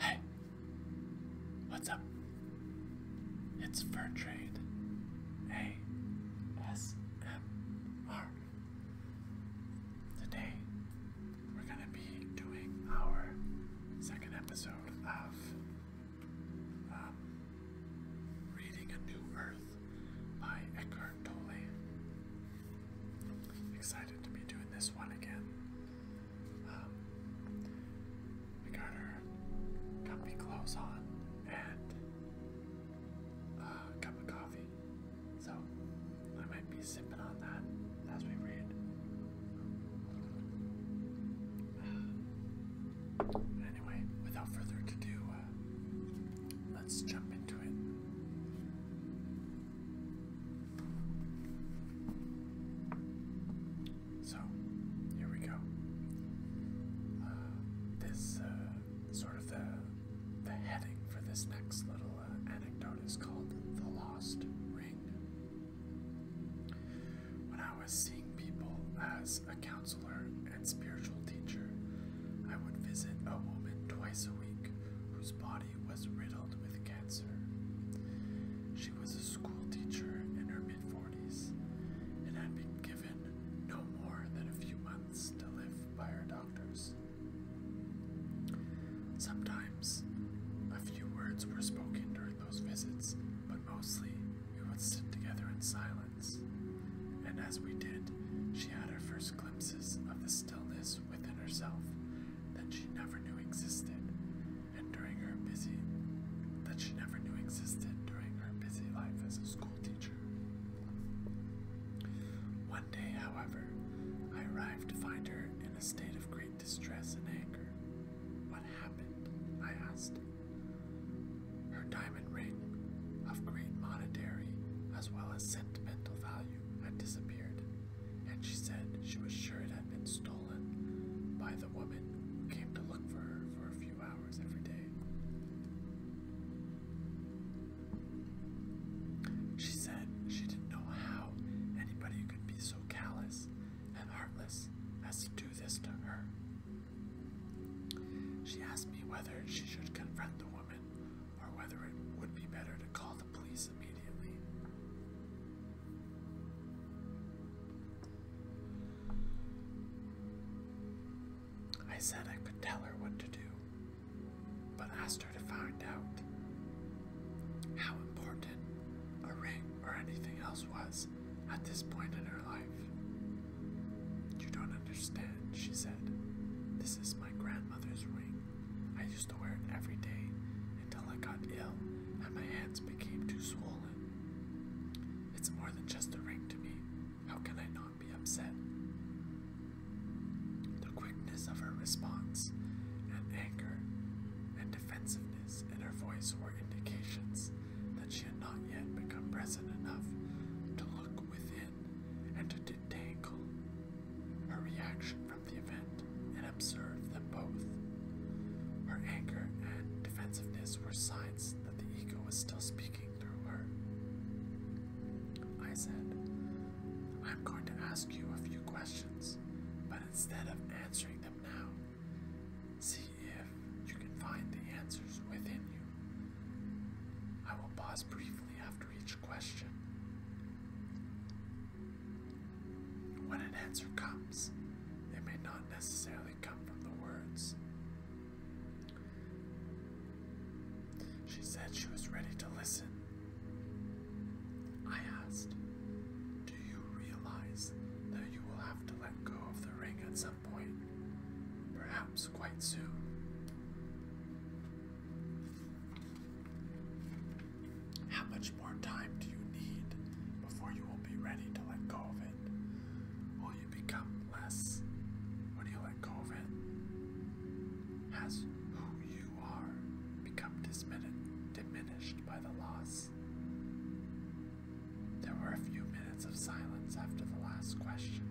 Hey, what's up? It's Fur Trade. A S M R. Today we're gonna be doing our second episode of um, Reading a New Earth by Eckhart Tolle. Excited to be doing this one again. Um, we got our comfy clothes on and uh, a cup of coffee. So I might be sipping on that as we read. Anyway, without further ado, uh, let's jump into it. So, here we go. Uh, this uh, sort of the the heading for this next little anecdote is called the lost ring. When I was seeing people as accounts and spiritual teacher, I would visit a woman twice a week whose body was riddled with cancer. She was a school teacher in her mid 40s and had been given no more than a few months to live by her doctors. Sometimes a few words were spoken during those visits, but mostly we would sit together in silence. And as we did, she had her first glimpses of the stillness within herself that she never knew existed, and during her busy that she never knew existed during her busy life as a schoolteacher. One day, however, I arrived to find her in a state of great distress and anger. What happened? I asked. Her diamond ring, of great monetary as well as sentimental value, had disappeared, and she said she was sure it had been stolen by the woman who came to look for her for a few hours every day. She said she didn't know how anybody could be so callous and heartless as to do this to her. She asked me whether she should confront the woman or whether it would be better to call the police immediately. I said I could tell her what to do, but asked her to find out how important a ring or anything else was at this point in her life. You don't understand, she said. This is my grandmother's ring. I used to wear it every day until I got ill and my hands became too swollen. It's more than just a ring to me. How can I not be upset? The quickness of her response and anger and defensiveness in her voice were indications that she had not yet become present enough to look within and to detangle her reaction from the event and observe them both. Her anger and defensiveness were signs that the ego was still speaking through her. I said, I'm going to ask you a few questions, but instead of answering them now, see if you can find the answers within you. I will pause briefly after each question. When an answer comes, it may not necessarily come from the words. She said she was ready to listen. I asked, Do you realize that you will have to let go of the ring at some point, perhaps quite soon. How much more time do you need before you will be ready to let go of it? Will you become less when you let go of it? Has who you are become diminished by the loss? There were a few minutes of silence after the last question.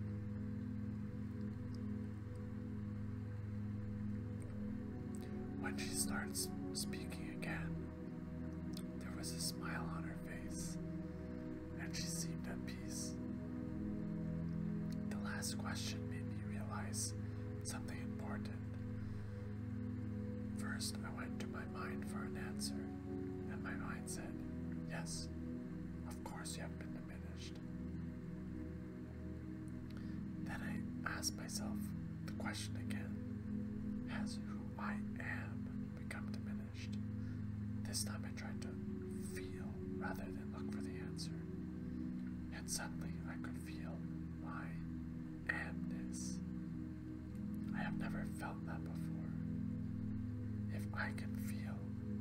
When she starts speaking again, there was a smile on her face, and she seemed at peace. The last question made me realize something important. First, I went to my mind for an answer, and my mind said, Yes, of course, you haven't been diminished. Then I asked myself the question again Has who I am become diminished? This time I tried to feel rather than look for the answer. And suddenly I could feel my amness. I have never felt that before. If I can feel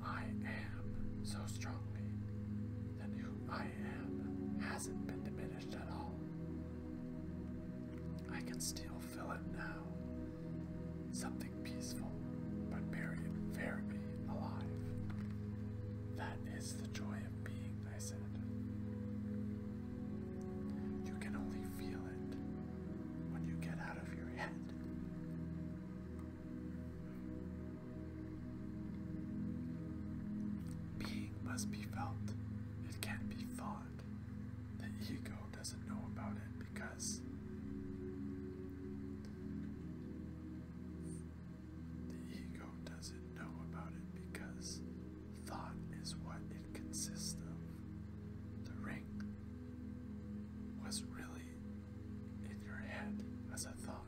I am so strongly, that who I am hasn't been diminished at all. I can still feel it now. Something peaceful, but buried very alive. That is the joy of being, I said. You can only feel it when you get out of your head. Being must be felt, it can be fond. The ego doesn't know about it because the ego doesn't know about it because thought is what it consists of. The ring was really in your head as a thought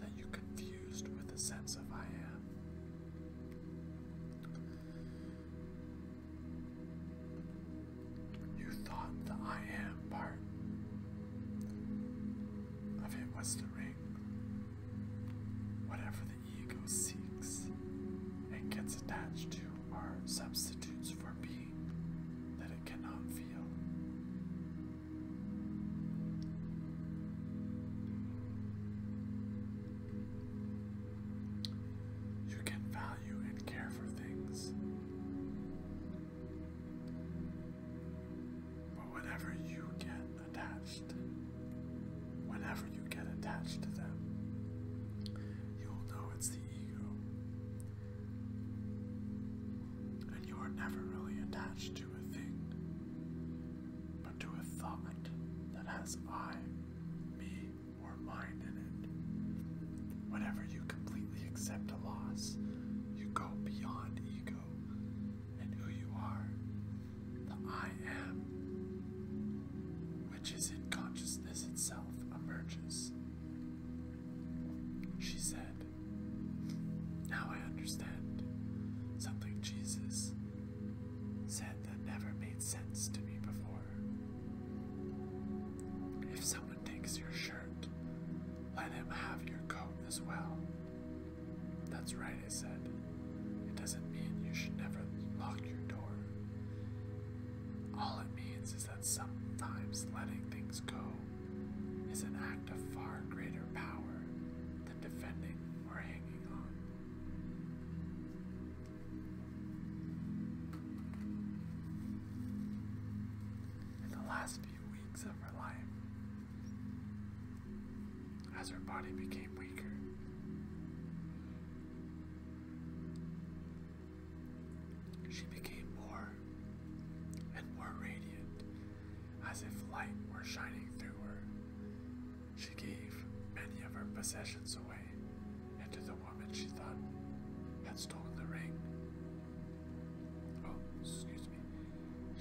that you confused with the sense of I am. You thought the I am part of it was the ring. Whatever the ego seeks and gets attached to are substitutes for being you can value and care for things. But whenever you get attached, whenever you get attached to them, you'll know it's the ego and you are never really attached to a thing, but to a thought that has I, me, or mine in it. Whenever you completely accept a loss, you go beyond ego and who you are, the I am, which is in consciousness itself, emerges. She said, Now I understand something Jesus said that never made sense to me before. If someone takes your shirt, let him have your coat as well. That's right, I said. It doesn't mean you should never lock your door. All it means is that sometimes letting things go is an act of far greater power than defending or hanging on. In the last few weeks of her life, as her body became weaker, she became more and more radiant, as if light were shining through her. She gave many of her possessions away, and to the woman she thought had stolen the ring. Oh, excuse me.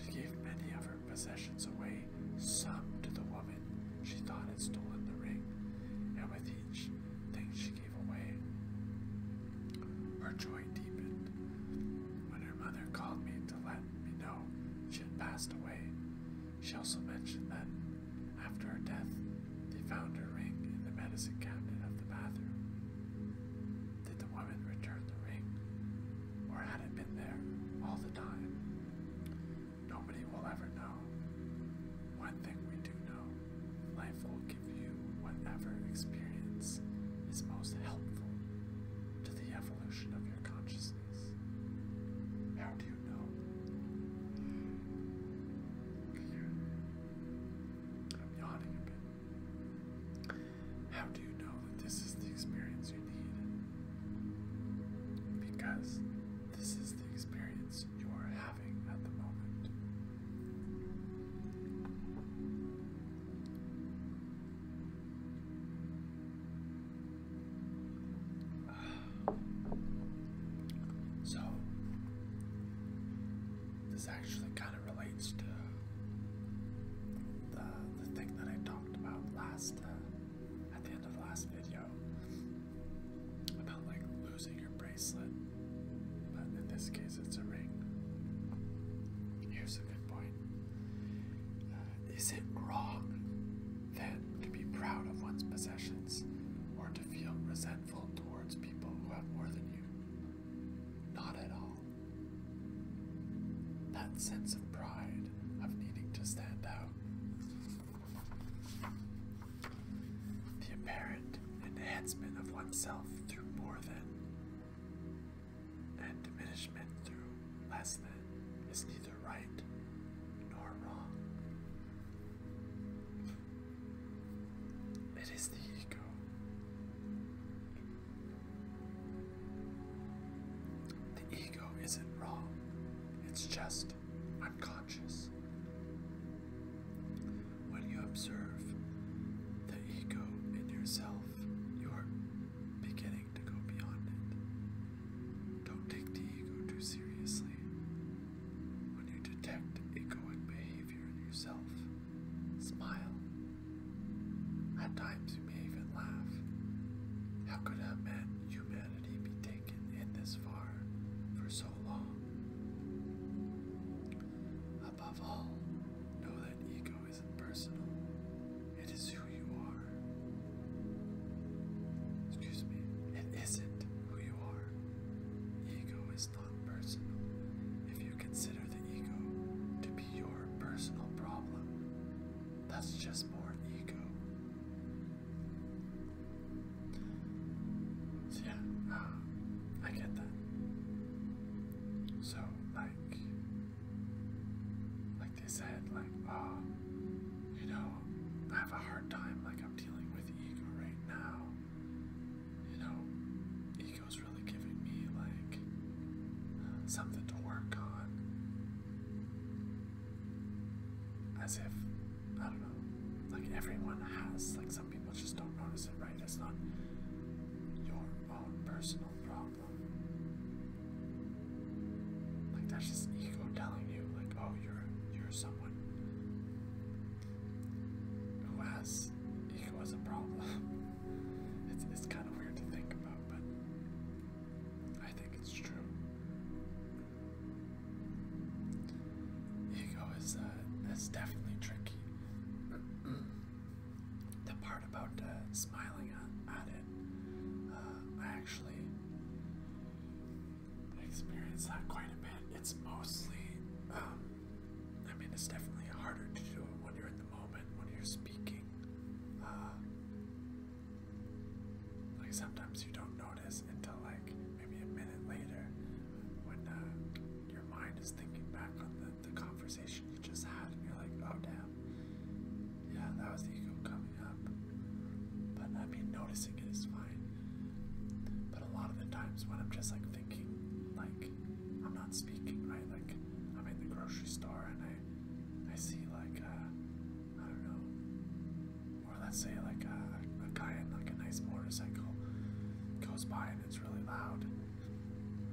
She gave many of her possessions away, some to the woman she thought had stolen the ring, and with each thing she gave away. Her joy deepened. When her mother called me to let me know she had passed away, she also mentioned that after her death, they found her ring in the medicine cabinet of the bathroom. Did the woman return the ring, or had it been there all the time? Nobody will ever know. One thing we do know Life will give you whatever experience is most helpful to the evolution of your consciousness. How do you know? I'm yawning a bit. How do you know that this is the experience you need? Because this is the experience you are having at the moment. So, this actually kind of relates to the, the thing that I talked about last, uh, at the end of last video, about like losing your bracelet but in this case, it's a ring. Here's a good point. Uh, is it wrong then to be proud of one's possessions or to feel resentful towards people who have more than you? Not at all. That sense of pride, of needing to stand out, the apparent enhancement of oneself through more than and diminishment through less than is neither right nor wrong. It is the ego. The ego isn't wrong, it's just unconscious. When you observe the ego in yourself, you're beginning to go beyond it. Don't take the ego too seriously. When you detect egoic behavior in yourself, smile. At times, you may even laugh. How could a man, humanity be taken in this far for so long? Above all, know that ego isn't personal, it is who you are. Excuse me, it isn't who you are. Ego is not personal. If you consider the ego to be your personal problem, that's just more ego. yeah, uh, I get that. So, like, like they said, like, oh, you know, I have a hard time, like, I'm dealing with ego right now. You know, ego's really giving me, like, something to work on. As if, I don't know, like everyone has, like some people just don't notice it, right? It's not your about personal problem. Like that's just ego telling you, like, oh, you're you're someone who has ego as a problem. it's it's kind of weird to think about, but I think it's true. Ego is uh, is definitely tricky. the part about uh, smiling at, it, uh, I actually experienced that quite a bit. It's mostly, um, I mean, it's definitely harder to do it when you're in the moment, when you're speaking. Uh, like sometimes you don't notice until like maybe a minute later when your mind is thinking back on the the conversation you just had, and you're like, oh damn, yeah, that was the ego coming up. But I mean, noticing it is fine. But a lot of the times when I'm just like thinking, like I'm not speaking, right? Like I'm in the grocery store and I, I see like uh, I don't know, or let's say like uh, a guy in like a nice motorcycle goes by and it's really loud.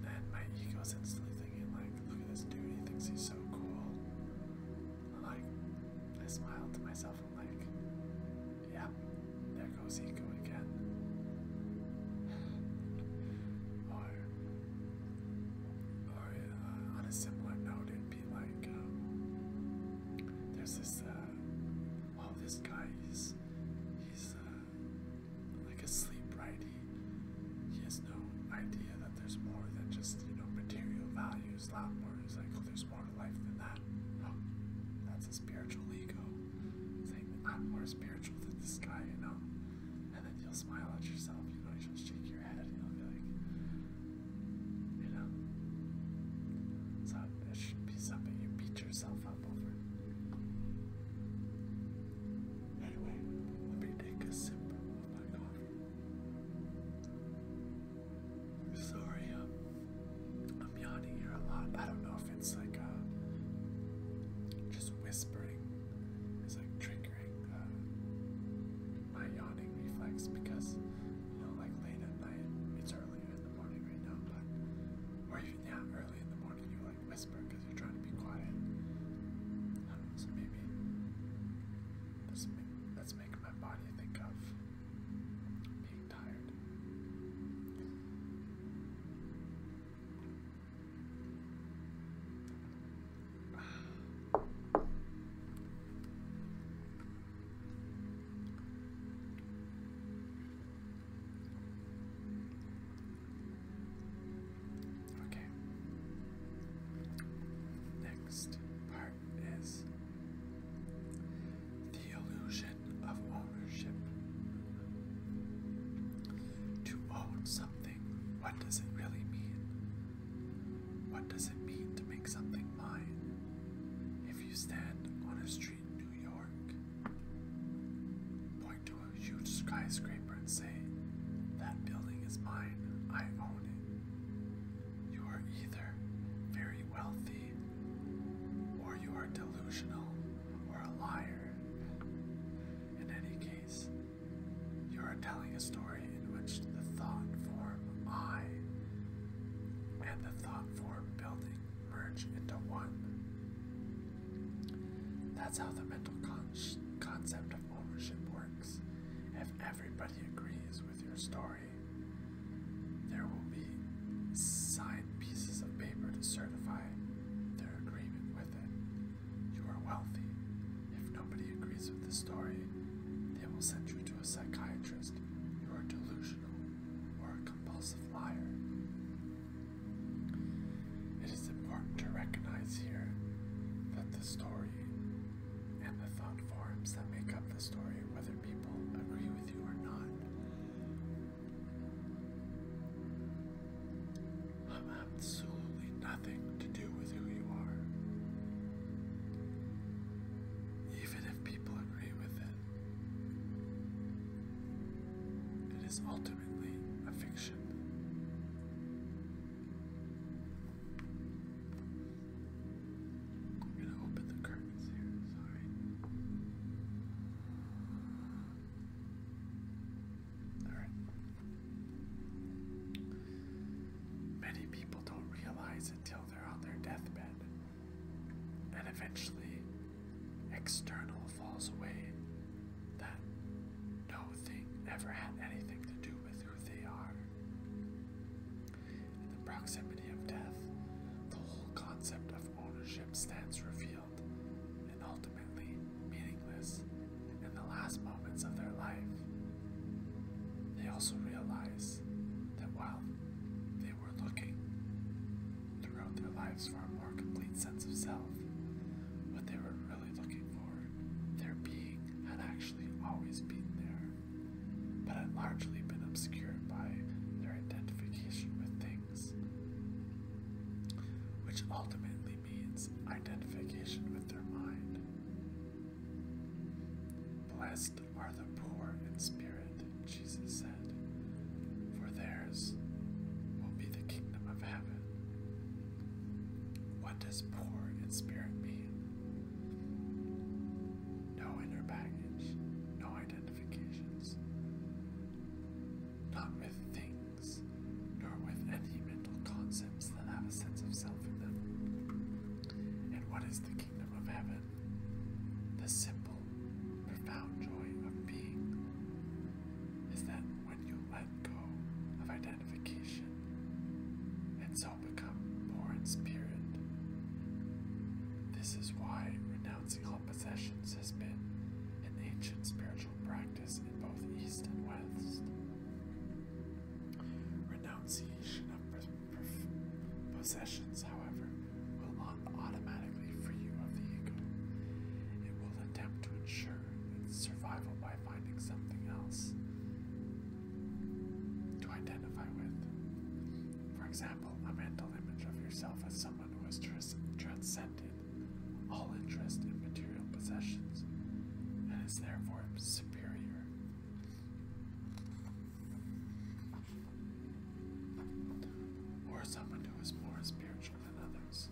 And my ego's instantly thinking, like, look at this dude, he thinks he's so cool. Like, I smiled to myself, i like, yeah, there goes ego again. or, or uh, on a similar note, it'd be like, um, there's this, uh, oh, this guy, he's, he's, uh, like asleep, right? He, he has no idea that there's more than just, you know, material values, A lot more. He's like, oh, there's more to life than that. Oh, that's a spiritual ego. Saying I'm more spiritual than this guy, you know? And then you'll smile at yourself, you know, you'll shake your head and you'll be like, you know? So it should be something you beat yourself up over. Anyway, let me take a sip Sorry, uh, I'm yawning here a lot. I don't know if it's like uh, just whispering is like triggering uh, my yawning reflex because you know, like late at night, it's earlier in the morning right now, but or even yeah, early in the morning, you like whisper because you're trying to be quiet. so maybe let's make my body think of being tired. Okay. Next part is the illusion of ownership. To own something, what does it really mean? What does it mean to make something mine? If you stand on a street in New York, to a huge skyscraper and say, That building is mine, I own it. You are either very wealthy, or you are delusional, or a liar. In any case, you are telling a story in which the thought form I and the thought form building merge into one. That's how the mental concept of ownership works. If everybody agrees with your story, there will be signed pieces of paper to certify their agreement with it. You are wealthy. If nobody agrees with the story, they will send you to a psychiatrist. You are delusional or a compulsive liar. It is important to recognize here that the story and the thought forms that make up the story, whether people agree with you or not, have absolutely nothing to do with who you are. Even if people agree with it, it is ultimately a fiction. I'm going to open the curtains here, sorry. Alright. Many people don't realize until they're on their deathbed, and eventually, external falls away that no thing ever had anything to do with who they are. In the proximity of death, the whole concept of ownership stands revealed and ultimately meaningless in the last moments of their life. They also realize that while they were looking throughout their lives for a more complete sense of self, what they were really looking for, their being had actually always been there, but had largely been obscured by their identification with things, which ultimately means identification with their mind. Blessed are the poor in spirit, Jesus said, for theirs will be the kingdom of heaven. What does poor in spirit mean? No inner baggage, no identifications, not with things, nor with any mental concepts that have a sense of self in them. And what is the kingdom of heaven? The simple, profound joy of being is that when you let go of identification and so become more in spirit. This is why renouncing all possessions has been an ancient spiritual practice in both East and West. Renunciation of possessions, however, will not automatically free you of the ego. It will attempt to ensure it's survival by finding something else to identify with. For example, a mental image of yourself as someone who has transcended all interest in material possessions and is therefore superior. Or someone who is more spiritual than others.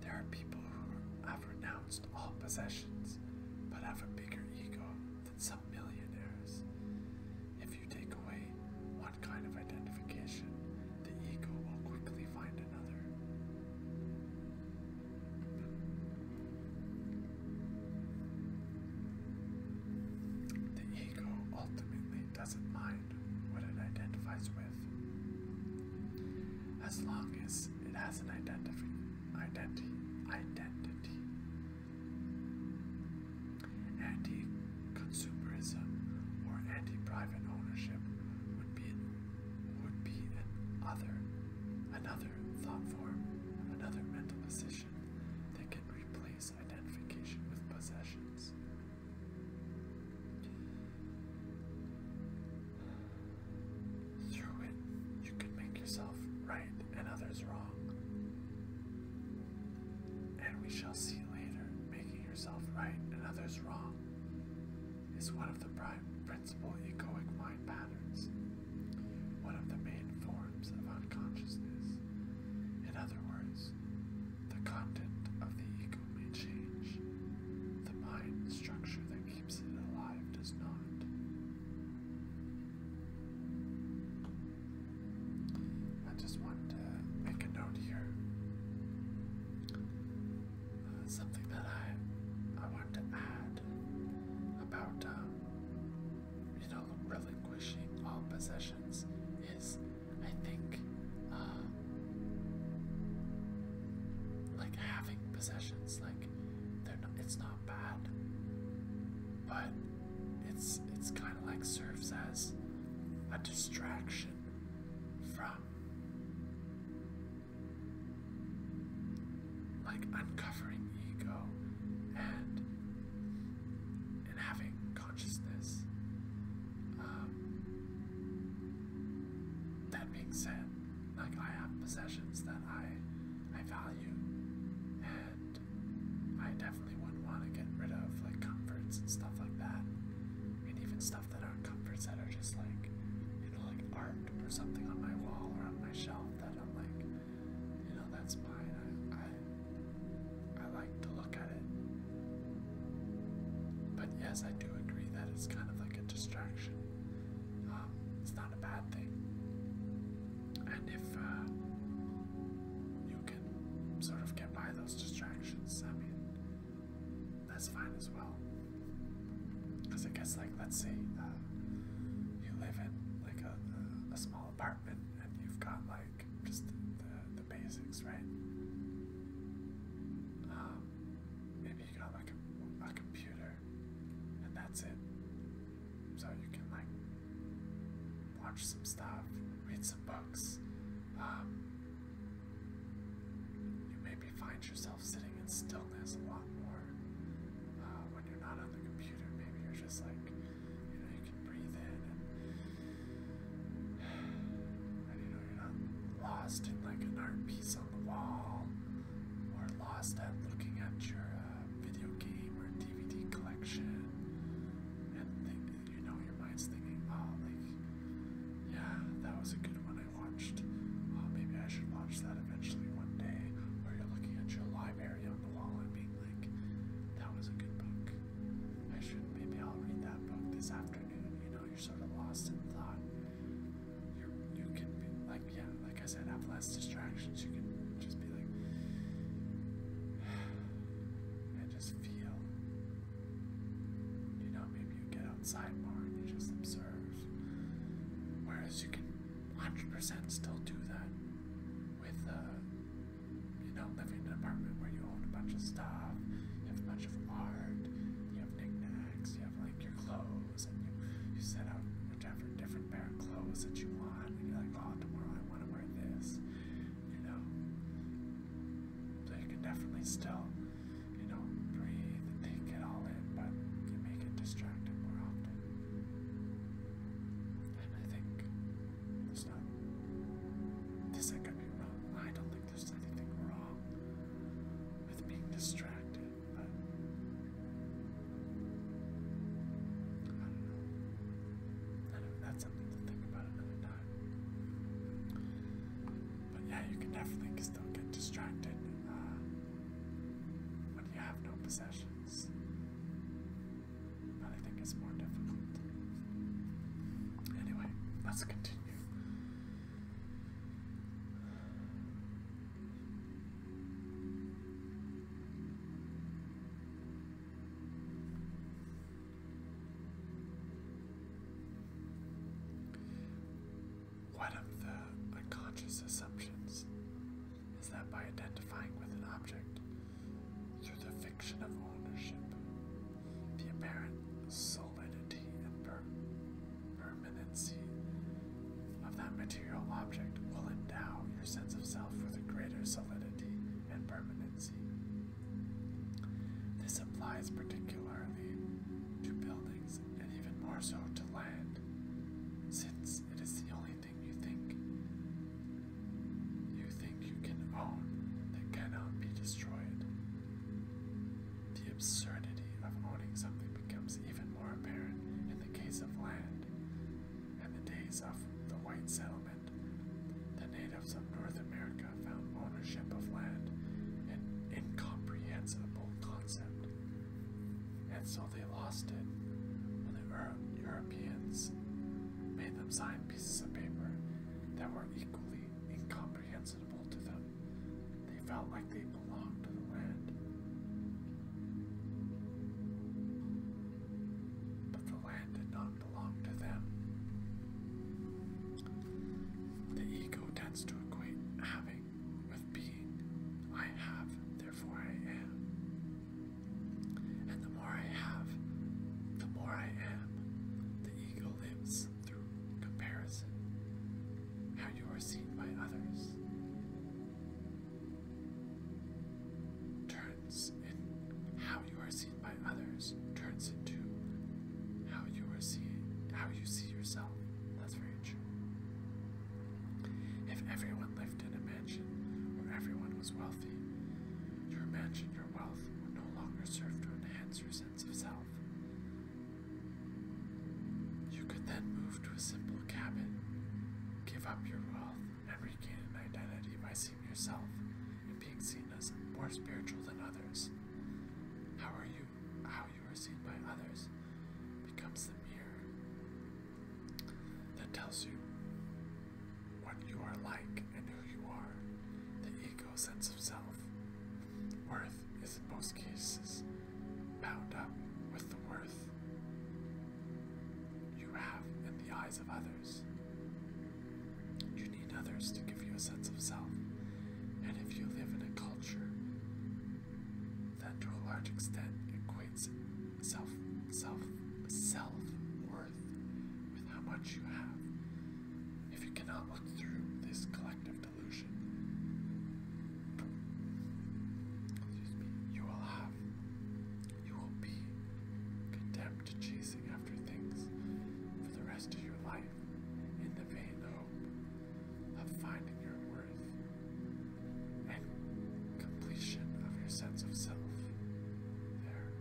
There are people who have renounced all possessions, but have a bigger ego than some millionaires. If you take away one kind of identification, the ego will quickly find another. The ego ultimately doesn't mind what it identifies with, as long as it has an identity. Identi identity. Anti consumerism or anti private ownership would be, would be an other, another thought form, another mental position that can replace identification with possessions. Through it, you can make yourself right and others wrong. And we shall see later, making yourself right and others wrong is one of the prime principal egoic mind patterns, one of the main forms of unconsciousness. In other words, the content of the ego may change. The mind structure that keeps it alive does not. I just want to make a note here. Uh, something that I I want to add about uh, you know relinquishing all possessions is I think uh, like having possessions, like they're not, it's not bad, but it's it's kind of like serves as a distraction from like uncovering ego and and having consciousness. Um, that being said, like I have possessions that I I value, and I definitely wouldn't want to get rid of like comforts and stuff like that, and even stuff that aren't comforts that are just like you know like art or something on my wall or on my shelf that I'm like you know that's mine. I I like to look at it. But yes, I do agree that it's kind of like a distraction. Um, it's not a bad thing. And if uh, you can sort of get by those distractions, I mean, that's fine as well. Because I guess, like, let's say uh, you live in like a, small apartment and you've got like just the, basics, right? Um, maybe you got like a, a computer, and that's it. So you can like watch some stuff, read some books. Um, you maybe find yourself sitting in stillness a lot more uh, when you're not on the computer. Maybe you're just like, you know, breathe in. you are not lost in like an art piece on the wall or lost at looking at your uh, video game or DVD collection. And you know, your mind's thinking, oh, like, yeah, that was a good one I watched. Oh, maybe I should watch that eventually one day. Or you're looking at your library on the wall and being like, that was a good book. I should maybe I'll read that book this afternoon. You know, you're sort of lost in thought. You you can be like yeah, like I said, have less distractions. You can just be like and just feel. You know, maybe you get outside more and you just observe. Whereas you can 100% still do that with uh, you're not living in an apartment where you own a bunch of stuff, you have a bunch of art, you have knickknacks, you have like your clothes, and you, you set out whichever different pair of clothes that you want, and you're like, oh, tomorrow I want to wear this, you know. So you can definitely still, you know, breathe and take it all in, but you make it distracted more often. And I think there's not. This I could be wrong. I don't think there's anything wrong with being distracted, but I don't know. I don't That's something to think about another time. But yeah, you can definitely still get distracted uh, when you have no possessions. But I think it's more difficult. Anyway, let's continue. One of the unconscious assumptions is that by identifying with an object through the fiction of ownership, the apparent solidity and permanency of that material object will endow your sense of self with a greater solidity and permanency. This applies particularly to buildings and even more so to land, since it is the only thing you think you you can own that cannot be destroyed. The absurdity of owning something becomes even more apparent in the case of land. In the days of the white settlement, the natives of North America found ownership of land an incomprehensible concept, and so they lost it when the Europeans made them sign pieces of paper that were equally incomprehensible to them. They felt like they belonged to the land. But the land did not belong to them. The ego tends to equate having with being. I have, therefore I am. And the more I have, the more I am. The ego lives through comparison, how you are seen by others, turns in how you are seen by others turns into how you are seen, how you see yourself. That's very If everyone lived in a mansion where everyone was wealthy, your mansion, your wealth would no longer serve to enhance your sense of self. You could then move to a simple cabin, give up your wealth, and regain an identity by seeing yourself and being seen as more spiritual than others. How are you how you are seen by others becomes the mirror that tells you what you are like and who you are. The ego ego sense of self. Worth is in most cases bound up with the worth you have in the eyes of others. You need others to give you a sense of self, and if you live in a culture that to a large extent equates self self self worth with how much you have if you cannot look through this collective delusion. you will have, you will be condemned to chasing after things for the rest of your life in the vain hope of finding your worth and completion of your sense of self. There.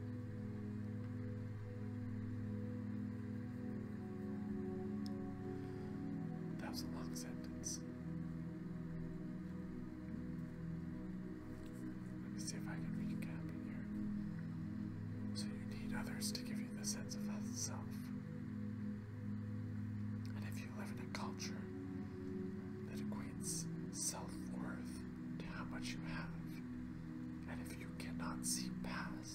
That was a long sentence. Let me see if I can recap it here. So you need others to give you the sense of self. And if you live in a culture that equates self worth to how much you have, and if you cannot see past,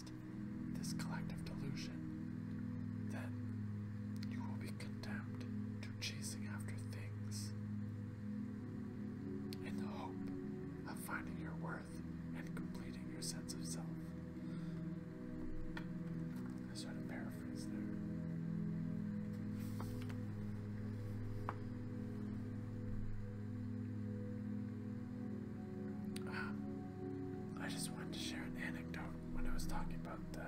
this collective delusion, then you will be condemned to chasing after things in the hope of finding your worth and completing your sense of self. I sort of paraphrase there. I just wanted to share an anecdote when I was talking about the,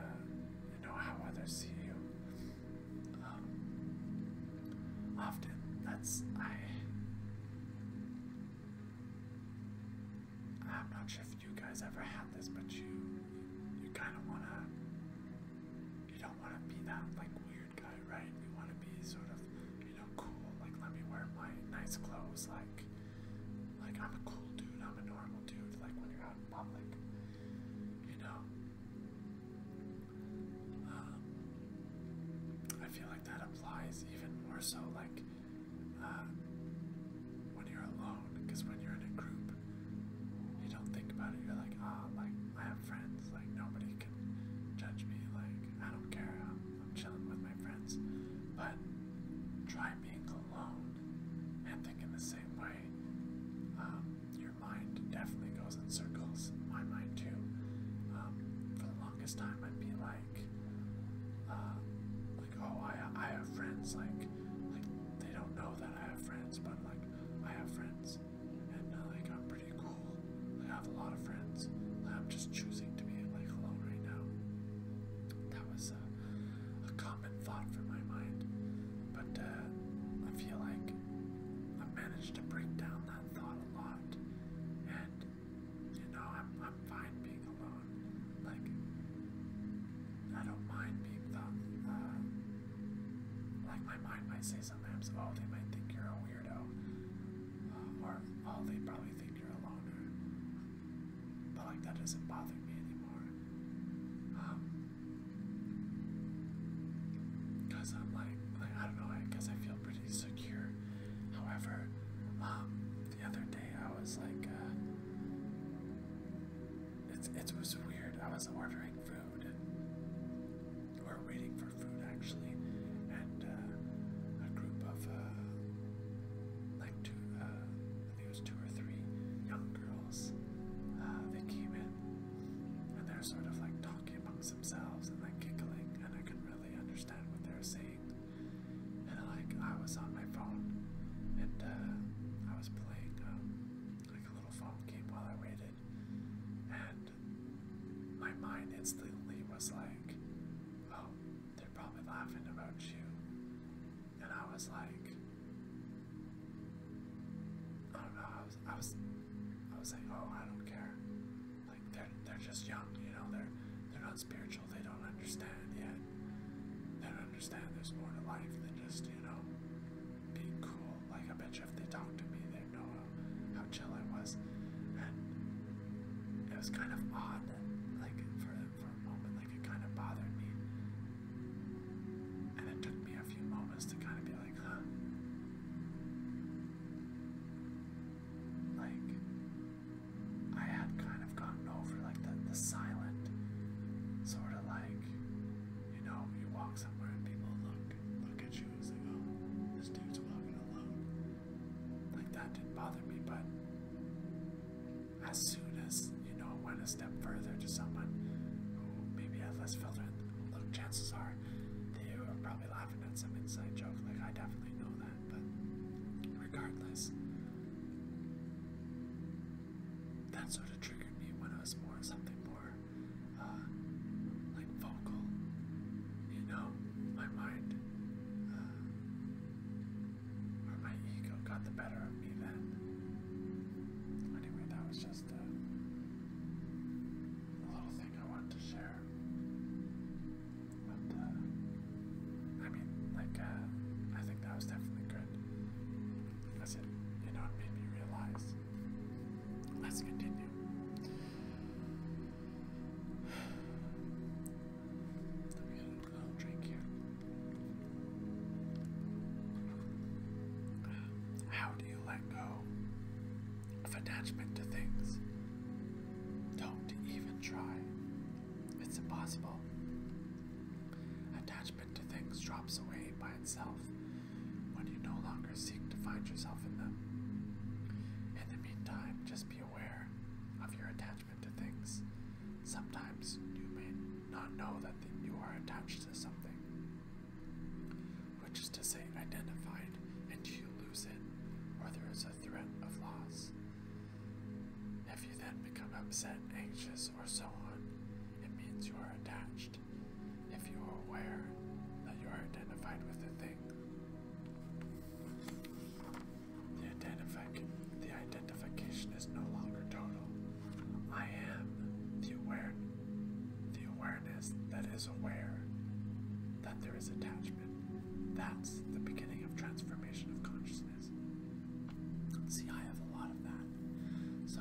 you know, how others see you. Um, often, that's I. I'm not sure if you guys ever had this, but you, you kind of wanna, you don't wanna be that like. weird right? We want to be sort of, you know, cool. Like, let me wear my nice clothes. Like, like I'm a cool dude. I'm a normal dude. Like when you're out in public, you know. Um, I feel like that applies even more so, like um, when you're alone. Because when you're in a group, you don't think about it. You're like, ah, like I have friends. Like nobody can judge me. Like I don't care. I'm chilling with my friends. But try being alone and thinking the same way. Um, your mind definitely goes in circles. My mind too. Um, for the longest time, I'd be like, uh, like, oh, I I have friends. Like, like they don't know that I have friends, but like I have friends, and uh, like I'm pretty cool. I have a lot of friends. I'm just choosing to be like alone right now. That was a, a common thought for my mind, but uh, I feel like i managed to break down that thought a lot, and you know I'm I'm fine being alone. Like I don't mind being thought. like my mind might say sometimes, oh they might think you're a weirdo, um, or i oh, they probably think you're a loner. But like that doesn't bother me anymore. Um, Cause I'm like, like I don't know. I guess I feel pretty secure. However, um, the other day I was like, uh, it's it was weird. I was ordering food or waiting for for food actually, and uh, a group of uh, like two, uh, I think it was two or three young girls. Uh, they came in, and they're sort of like talking amongst themselves and like giggling, and I couldn't really understand what they were saying. And like I was on my phone, and uh, I was playing um, like a little phone game while I waited, and my mind instantly was like, oh, they're probably laughing about you. And I was like, I don't know, I was, I was, I was like, oh, I don't care. Like, they're, they're just young, you know, they're, they're not spiritual, they don't understand yet. They don't understand there's more to life than just, you know, being cool. Like, I bet if they talk to me, they'd know how chill I was, and it was kind of odd. Like for for a moment, like it kind of bothered me, and it took me a few moments to kind of be like, huh, like I had kind of gotten over like the the silent sort of like you know you walk somewhere and people look look at you as they go. this dude's walking alone. Like that didn't bother me, but as soon as you know, went a step further to someone who maybe had less filter, look, chances are they were probably laughing at some inside joke. Like I definitely know that, but regardless, that sort of triggered me when I was more something more uh, like vocal. You know, my mind or my ego got the better of me then. Anyway, that was just a, little thing I wanted to share. But, uh, I mean, like, uh, I think that was definitely good. Because it, you know, it made me realize. Let's continue. How do you let go of attachment to things? Don't even try. It's impossible. Attachment to things drops away by itself when you no longer seek to find yourself in them. In the meantime, just be aware of your attachment to things. Sometimes you may not know that you are attached to something, which is to say, identified, and you lose it, or there is a threat of loss. If you then become upset, anxious, or so on, it means you are attached. If you are aware that you are identified with a thing, the, identific the identification is no longer total. I am the, aware the awareness that is aware that there is attachment. That's the beginning of transformation of consciousness. See, I have a lot of that. So,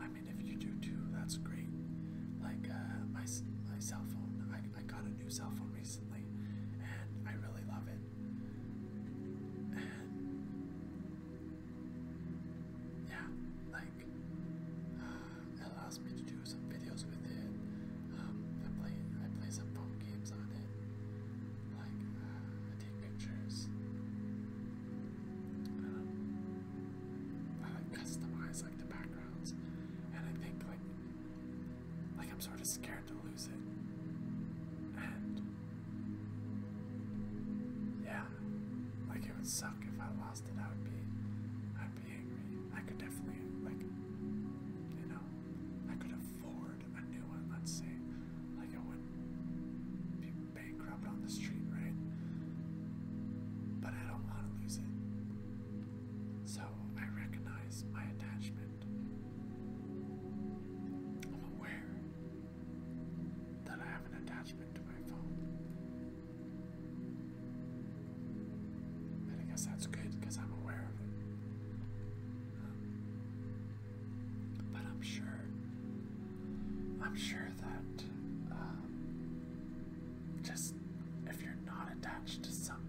I mean, if you do too, that's great. Like uh, my my cell phone, I I got it new cell phone recently, and I really love it. yeah, like uh, it allows me to do some videos with it. Um, I play I play some phone games on it. Like uh, I take pictures. Um, I like customize like the backgrounds, and I think like like, I'm sort of scared to lose it. And. Yeah. Like, it would suck if I lost it. I would be. I'd be angry. I could definitely, like. You know. I could afford a new one, let's say. Like, I wouldn't be bankrupt on the street, right? But I don't want to lose it. So I recognize my attachment I'm aware that I have an attachment to my phone. And I guess that's good because I'm aware of it. but I'm sure, I'm sure that um, just if you're not attached to something,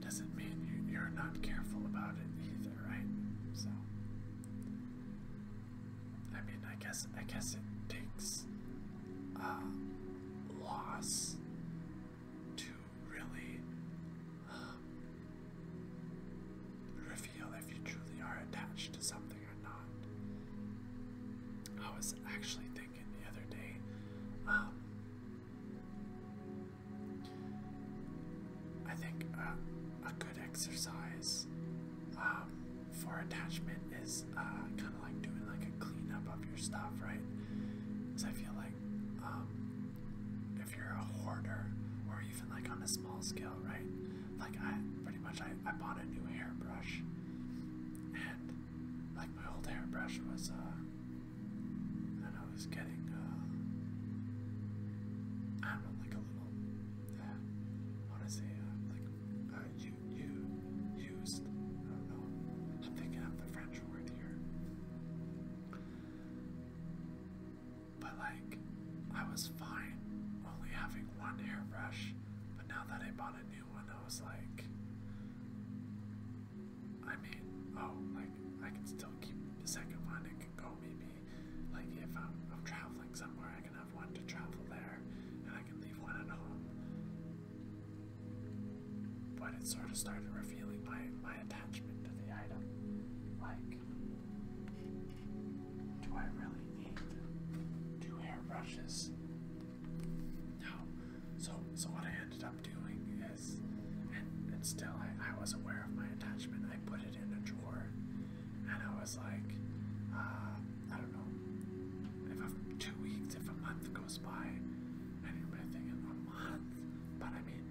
doesn't mean you're not careful about it either, right? So, I mean, I guess I guess it takes a loss to really um, reveal if you truly are attached to something or not. I was actually thinking the other day. Um, I think a good exercise um, for attachment is uh, kind of like doing like a cleanup of your stuff, right? Because I feel like um, if you're a hoarder or even like on a small scale, right? Like I pretty much I, bought a new hairbrush and like my old hairbrush was uh, and I was getting, uh, I don't know, like a little, uh, I want to say, uh, like, uh, you, you, used, I don't know, I'm thinking of the French word here. But like, I was fine only having one hairbrush, but now that I bought a new one, I was like, I mean, oh, like I can still keep the second one. It can go maybe, like if I'm, traveling somewhere, I can have one to travel there, and I can leave one at home. But it sort of started revealing my my attachment to the item. Like, do I really need two hairbrushes? No, so, so what I ended up doing is, and, still I, was aware of my attachment. I put it in a drawer, and I was like, uh, I don't know, if a, two weeks, if a month goes by, I didn't really think in a month. But I mean,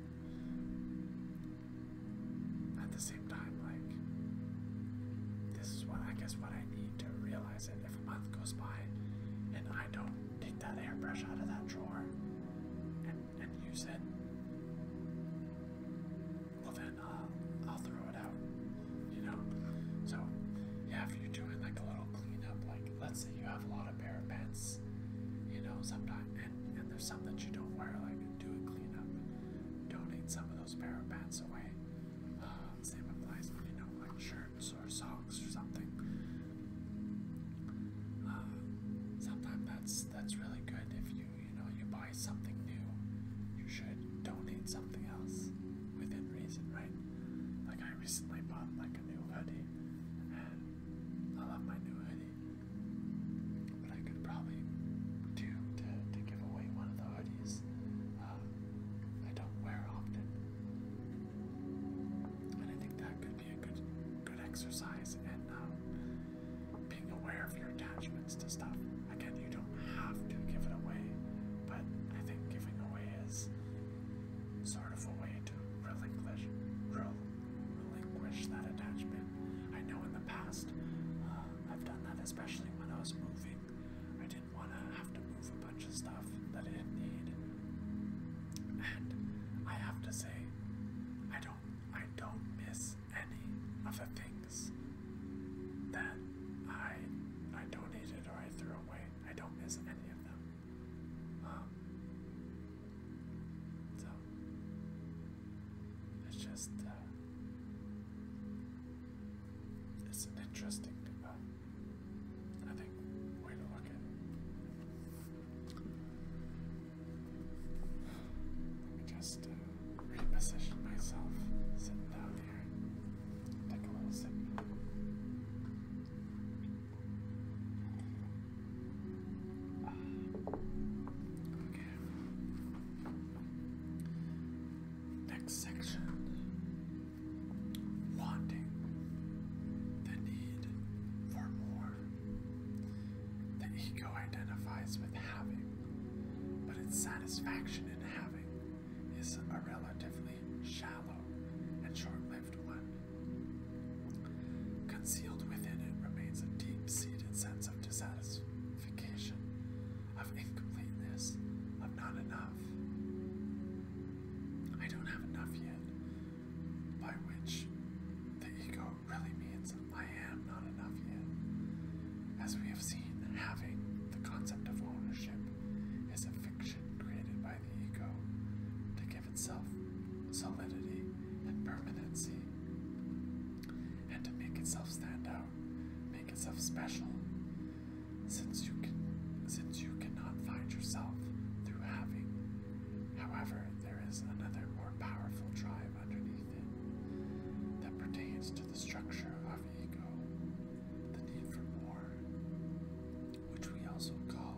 at the same time, like, this is what I guess what I need to realize it. If a month goes by, and I don't take that hairbrush out of that drawer and, use it. Well, then uh, I'll throw it out, you know? So, yeah, if you're doing like a little cleanup, like let's say you have a lot of pair of pants, you know, sometimes, and, and there's some that you don't wear, like do a cleanup, donate some of those pair of pants away. Uh, same applies you know, like shirts or songs or something. Uh, sometimes that's that's really good if you you know you buy something new, you should donate something else within reason, right? Like I recently bought like a new hoodie, and I love my new hoodie, but I could probably do to to give away one of the hoodies. Uh, I don't wear often, and I think that could certainly a good good exercise in uh, um, being aware of your attachments to stuff. Again, you don't have to give it away, but I think giving away is sort of a way to relinquish, rel relinquish that attachment. I know in the past uh, I've done that, especially when I was moving. I didn't want to have to move a bunch of stuff that I didn't need. And I have to say, I don't I don't miss any of the things that I I donated or I threw away. I don't miss any of them. Um, so it's just uh, it's an interesting uh, I think way to look let me just uh, reposition myself sitting down here. Take a little sip. okay. Next section wanting the need for more are. The ego identifies with having, but its satisfaction in having is a relatively shallow and short lived one. Concealed within it remains a deep seated sense of dissatisfaction, of incompleteness, of not enough. I don't have enough yet by which the ego really means I am not enough yet. As we have seen, having the concept of ownership is a fiction created by the ego to give itself solidity and permanency and to make itself stand out, make itself special. Since you can since you cannot find yourself through having However, there is another more powerful drive underneath it that pertains to the structure of ego, the need for more, which we also call,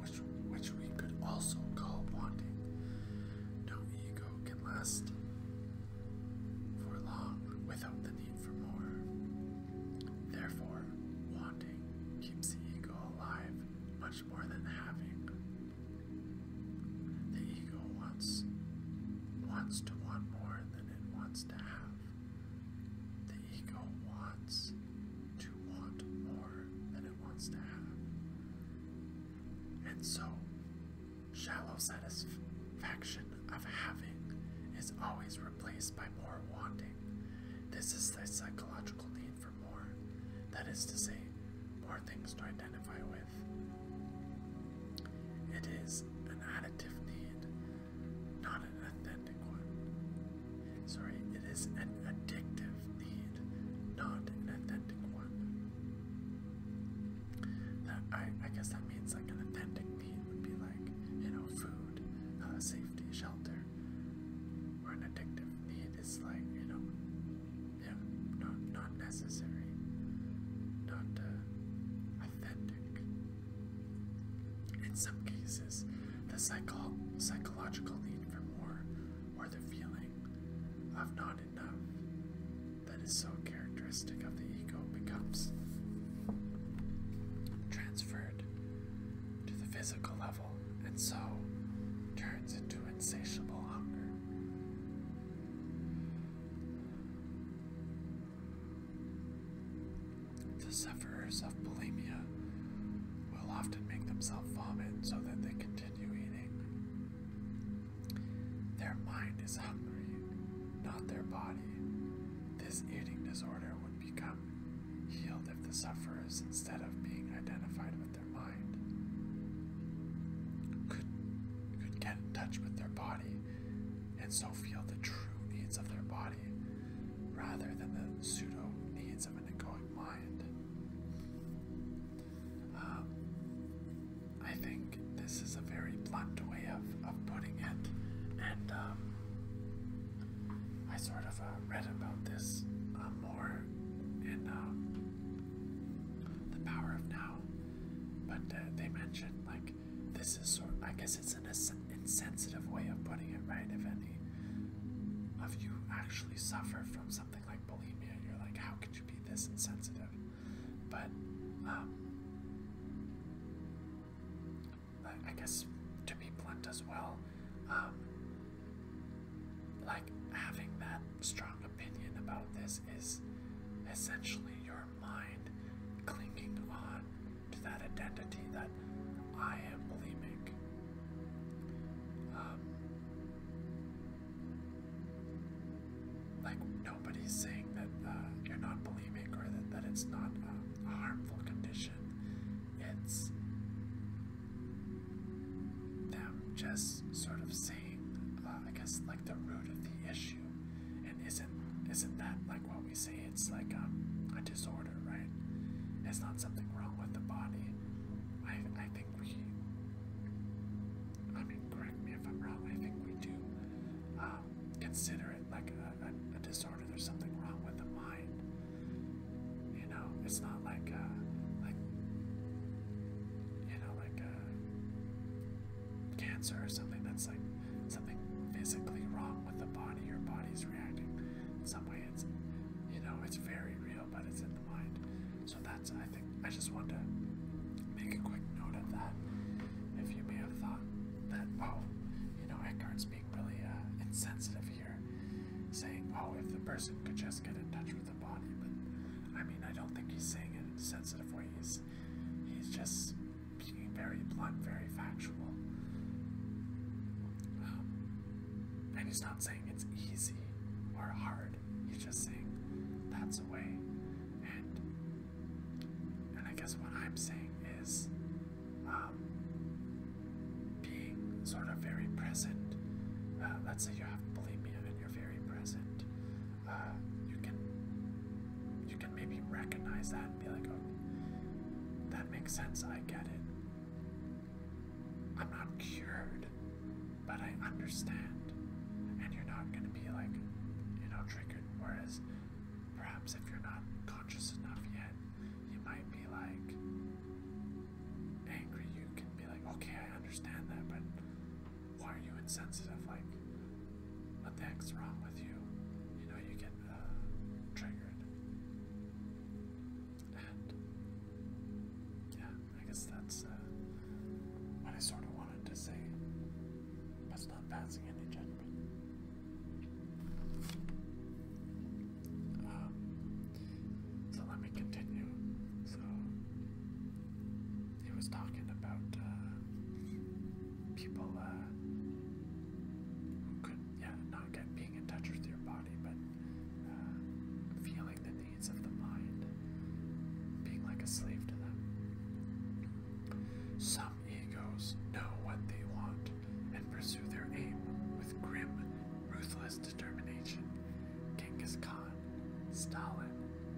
which, which we could also call wanting. No ego can last for long without the need for more. Therefore, wanting keeps the ego alive more than having. The ego wants wants to want more than it wants to have. The ego wants to want more than it wants to have. And so shallow satisfaction of having is always replaced by more wanting. This is the psychological need for more. That is to say, more things to identify with. It is an additive need, not an authentic one. Sorry, it is an addictive need, not an authentic one. I, guess that means like an authentic need would be like, you know, food, uh, safety, shelter, or an addictive need is like, you know, yeah, not not necessary, not uh, authentic. In some cases, the psycho psychological need for more, or the feeling of not enough, that is so characteristic of the ego becomes transferred to the physical level and so turns into insatiable hunger. The sufferers of bulimia will often make themselves vomit so that they continue eating. Their mind is hungry, not their body. This eating disorder would become healed if the sufferers, instead of being identified with could, could get in touch with their body, and so feel the true needs of their body rather than the pseudo needs of an egoic mind. Um, I think this is a very blunt way of, of putting it, and um, I sort of uh, read about this uh, more in uh, The Power of Now, but they mentioned like this is sort. of I guess it's an insensitive way of putting it, right? If any of you actually suffer from something like bulimia, you're like, how could you be this insensitive? But um, I guess to be blunt as well, um, like having that strong opinion about this is essentially your mind clinging on to that identity that I am believing. Um, like nobody's saying that uh, you're not believing or that, that it's not a harmful condition. It's them just sort of saying, uh, I guess, like the root of the issue. And isn't isn't that like what we say? It's like um, a disorder, right? It's not something wrong with the body. I I think we. I mean, correct me if I'm wrong. I think we do um, consider it like a disorder. There's something wrong with the mind. You know, it's not like uh, like you know, like uh, cancer or something that's like something physically wrong with the body. Your body's reacting in some way. It's you know, it's very real, but it's in the mind. So that's I think I just want to make a quick note of that. If you may have thought that oh, you know, Eckhart's being really uh, insensitive saying, oh, if the person could just get in touch with the body. But I mean, I don't think he's saying it in a sensitive way. He's, he's just being very blunt, very factual. Um, and he's not saying it's easy or hard. He's just saying that's the way. And and I guess what I'm saying is, um, being sort of very present. Uh, let's say you have bulimia and you're very present. Uh, you can you can maybe recognize that and be like, "Oh, that makes sense. I get it. I'm not cured, but I understand." And you're not going to be like, you know, triggered. Whereas, perhaps if you're not conscious enough yet, you might be like, angry, you can be like, okay, I understand that, but why are you insensitive? Like, what the heck's wrong with you? You know, you get uh, triggered. And yeah, I guess that's uh, what I sort of wanted to say. That's not passing any judgment. Um, so let me continue. So he was talking about uh, people uh, who could, yeah, not get being in touch with your body, but uh, feeling the needs of the mind, being like a slave to them. Some egos know what they want and pursue their aim with grim, ruthless determination Genghis Khan, Stalin,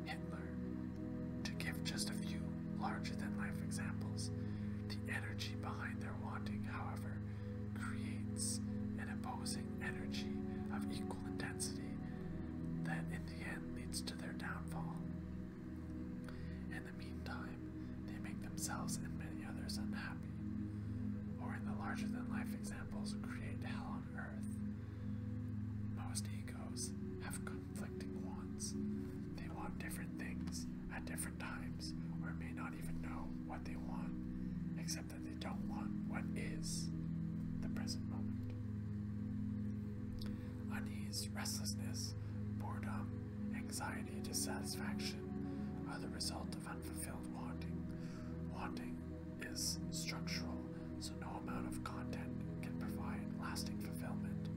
Hitler. To give just a few larger than life examples, the energy behind their wanting, however, creates an imposing energy of equal intensity that in the end leads to their downfall. In the meantime, they make themselves and many others unhappy. Or in the larger than life examples, create hell on earth. Most egos have conflicting wants. They want different things at different times, or may not even know what they want, except that they don't want what is the present moment. Unease, restlessness, boredom, anxiety, dissatisfaction are the result of unfulfilled wanting. Wanting is structural, so no amount of content can provide lasting fulfillment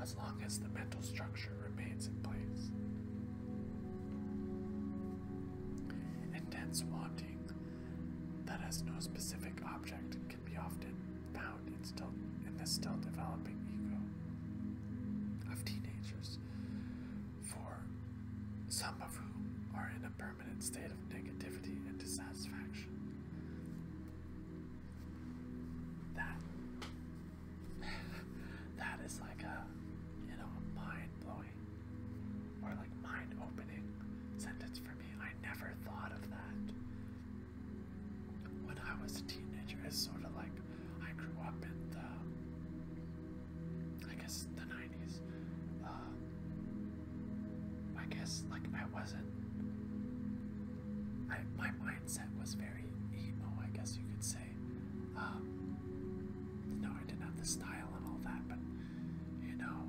as long as the mental structure remains in place. Intense wanting that has no specific object can be often found in, still, in the still developing ego of teenagers for some of whom are in a permanent state of negativity and dissatisfaction. That that is like a you know mind blowing or like mind opening sentence for me. I never thought of that when I was a teenager. Is sort of like I grew up in the, I guess, the 90s. Uh, I guess, like, I wasn't, I, my mindset was very emo, I guess you could say. Um, no, I didn't have the style and all that, but, you know,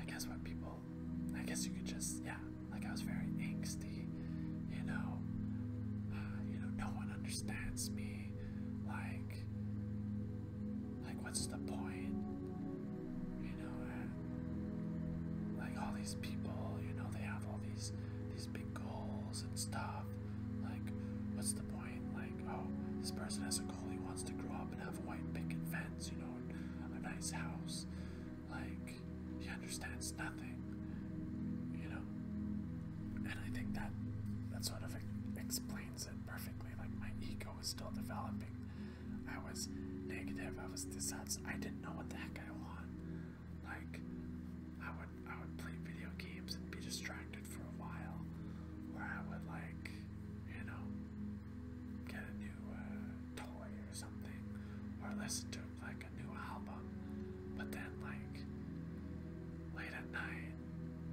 I guess what people, I guess you could just, yeah, like, I was very angsty, you know, uh, you know, no one understands me, like, like what's the point? You know, like all these people, you know, they have all these these big goals and stuff. Like, what's the point? Like, oh, this person has a goal. He wants to grow up and have a white picket fence. You know, a nice house. Like, he understands nothing. You know, and I think that that sort of explains it perfectly. Like my ego was still developing. I was negative. I was dissatisfied. I didn't know what the heck I want. Like I would I would play video games and be distracted for a while, or I would like you know get a new uh, toy or something, or listen to like a new album. But then like late at night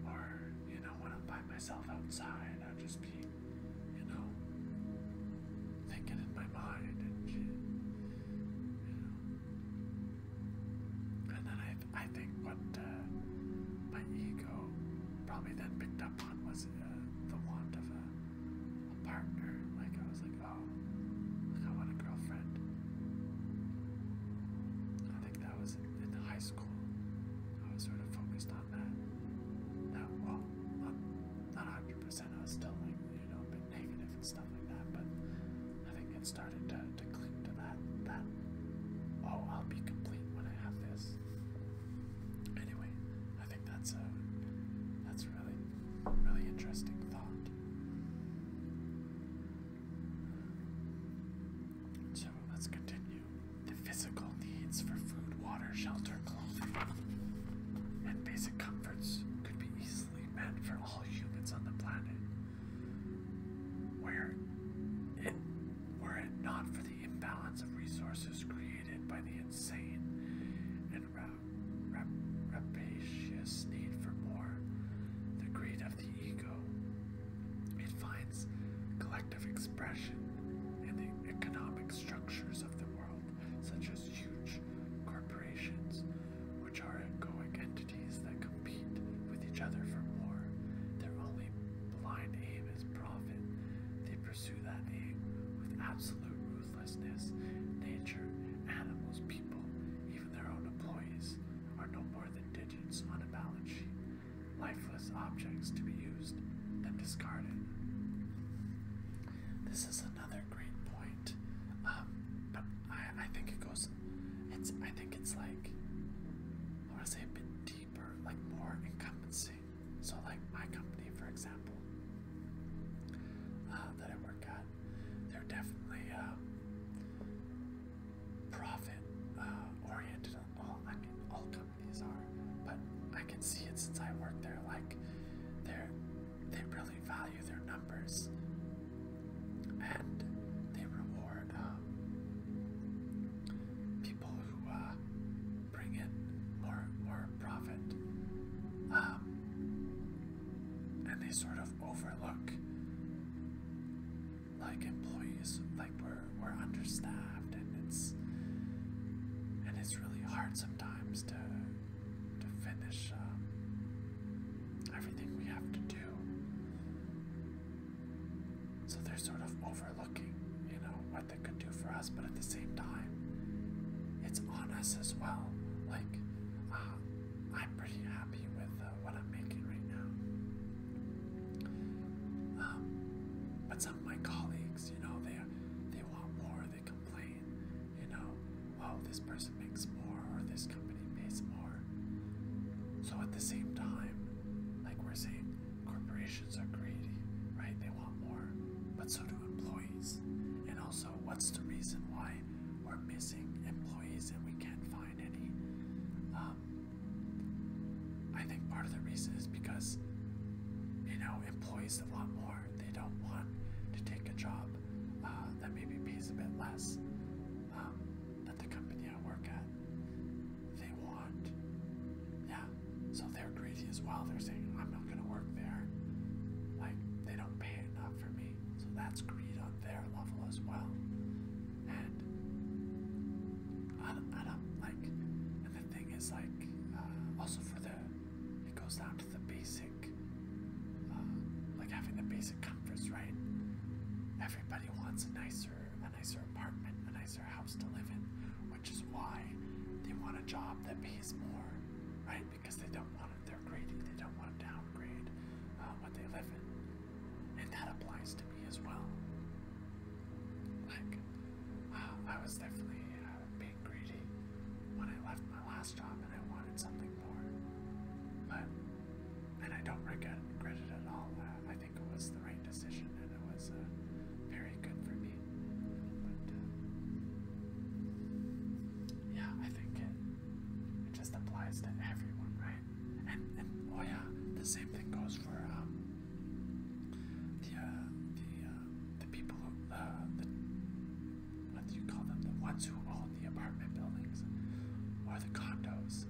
or you know, when I'm by myself outside, I'll just be, you know, thinking in my mind and then I, I think what uh, my ego probably then picked up on was uh, the want of a, partner. Like I was like, oh, like I want a girlfriend that was in high school. I was sort of focused on that. That well, not hundred percent. I was still like you know a and stuff like that. But I think it started to cling to that that oh I'll be complete when I have this. Anyway, I think that's a that's really really interesting thought. So let's continue. The physical needs for food, water, shelter, clothing, and basic comforts could be easily met for all humans on the planet. Where it, were it not for the imbalance of resources created by the insane and rapacious need for more, the greed of the ego. It finds collective expression in the economic structures of the world, such as huge corporations, which are egoic entities that compete with each other for more. Their only blind aim is profit. They pursue that aim with absolute ruthlessness. Nature, animals, people, even their own employees are no more than digits on a balance sheet lifeless objects to be used, and discarded. This is another great point, um, but I, I think it goes. It's I think it's like I want to say a bit deeper, like more incumbency. So, like my company, for example, uh, that I work at, they're definitely. Uh, profit uh, oriented. All all companies are, but I can see it since I work there. Like, they they really value their numbers, and they reward uh, people who uh, bring in more more profit. Um, and they sort of overlook like employees like we're we're understaffed and it's and it's really hard sometimes to to finish um, everything we have to do. So they're sort of overlooking, you know, what they could do for us, but at the same time, it's on us as well. Like, uh, I'm pretty happy with uh, what I'm making right now. Um, but some of my colleagues, you know, they they want more. They complain, you know, oh, this person makes more or this company pays more. So at the same time, like we're saying, corporations are greedy, right? They want more, but so do employees. And also, what's the reason why we're missing employees and we can't find any? Um, I think part of the reason is because, you know, employees that want more, they don't want to take a job uh, that maybe pays a bit less um, the company I work at. They want, yeah, so they're greedy as well. They're saying, I'm not going to work there. Like, they don't pay enough for me. So that's greed on their level as well and I, I don't like. And the thing is, like, uh, also for the, it goes down to the basic, uh, like having the basic comforts, right? Everybody wants a nicer, a nicer apartment, a nicer house to live in, which is why they want a job that pays more, right? Because they don't want it, they're greedy, they don't want to downgrade uh, what they live in and that applies to me as well. Like, uh, I was definitely uh, being greedy when I left my last job and I wanted something more. But, and I don't regret, it at all. Uh, I think it was the right decision and it was very good for me. But, yeah, I think it just applies to everyone, right? And, oh yeah, the same thing goes for um, the uh, the uh, the people who uh, the what do you call them? The ones who own the apartment buildings or the condos.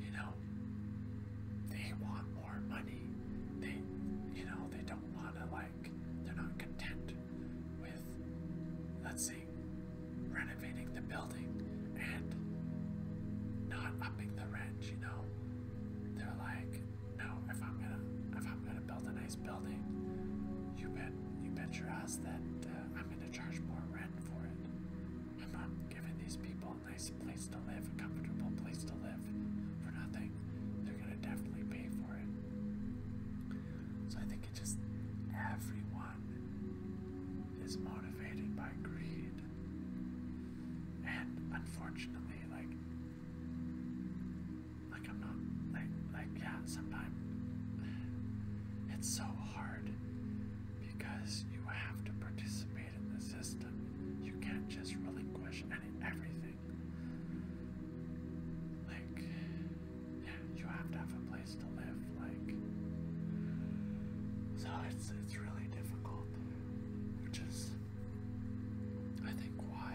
You know, they want more money. They, you know, they don't want to like. They're not content with, let's say, rent renovating the building and not upping the rent, you know. They're like, no, if I'm gonna if I'm gonna build a nice building, you bet you bet your ass that uh, I'm gonna charge more rent for it. I'm not giving these people a nice place to live, a comfortable place to live for nothing. They're gonna definitely pay for it. So I think it just everyone is motivated by greed. And unfortunately, like, like I'm not, like, like yeah, sometimes it's so hard because you have to participate in the system. You can't just relinquish any everything. Like, yeah, you have to have a place to live. So it's it's really difficult, which is I think why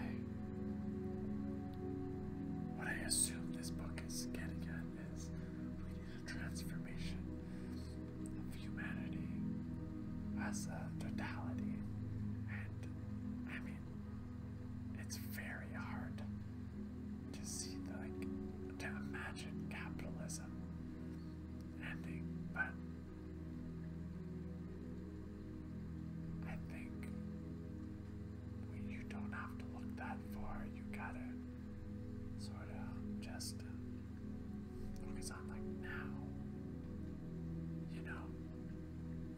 what I assume this book is getting at is we transformation of humanity as a totality, and I mean it's very hard to see like to imagine capitalism ending, but I think you don't have to look that far. You gotta sort of just focus on like now. You know,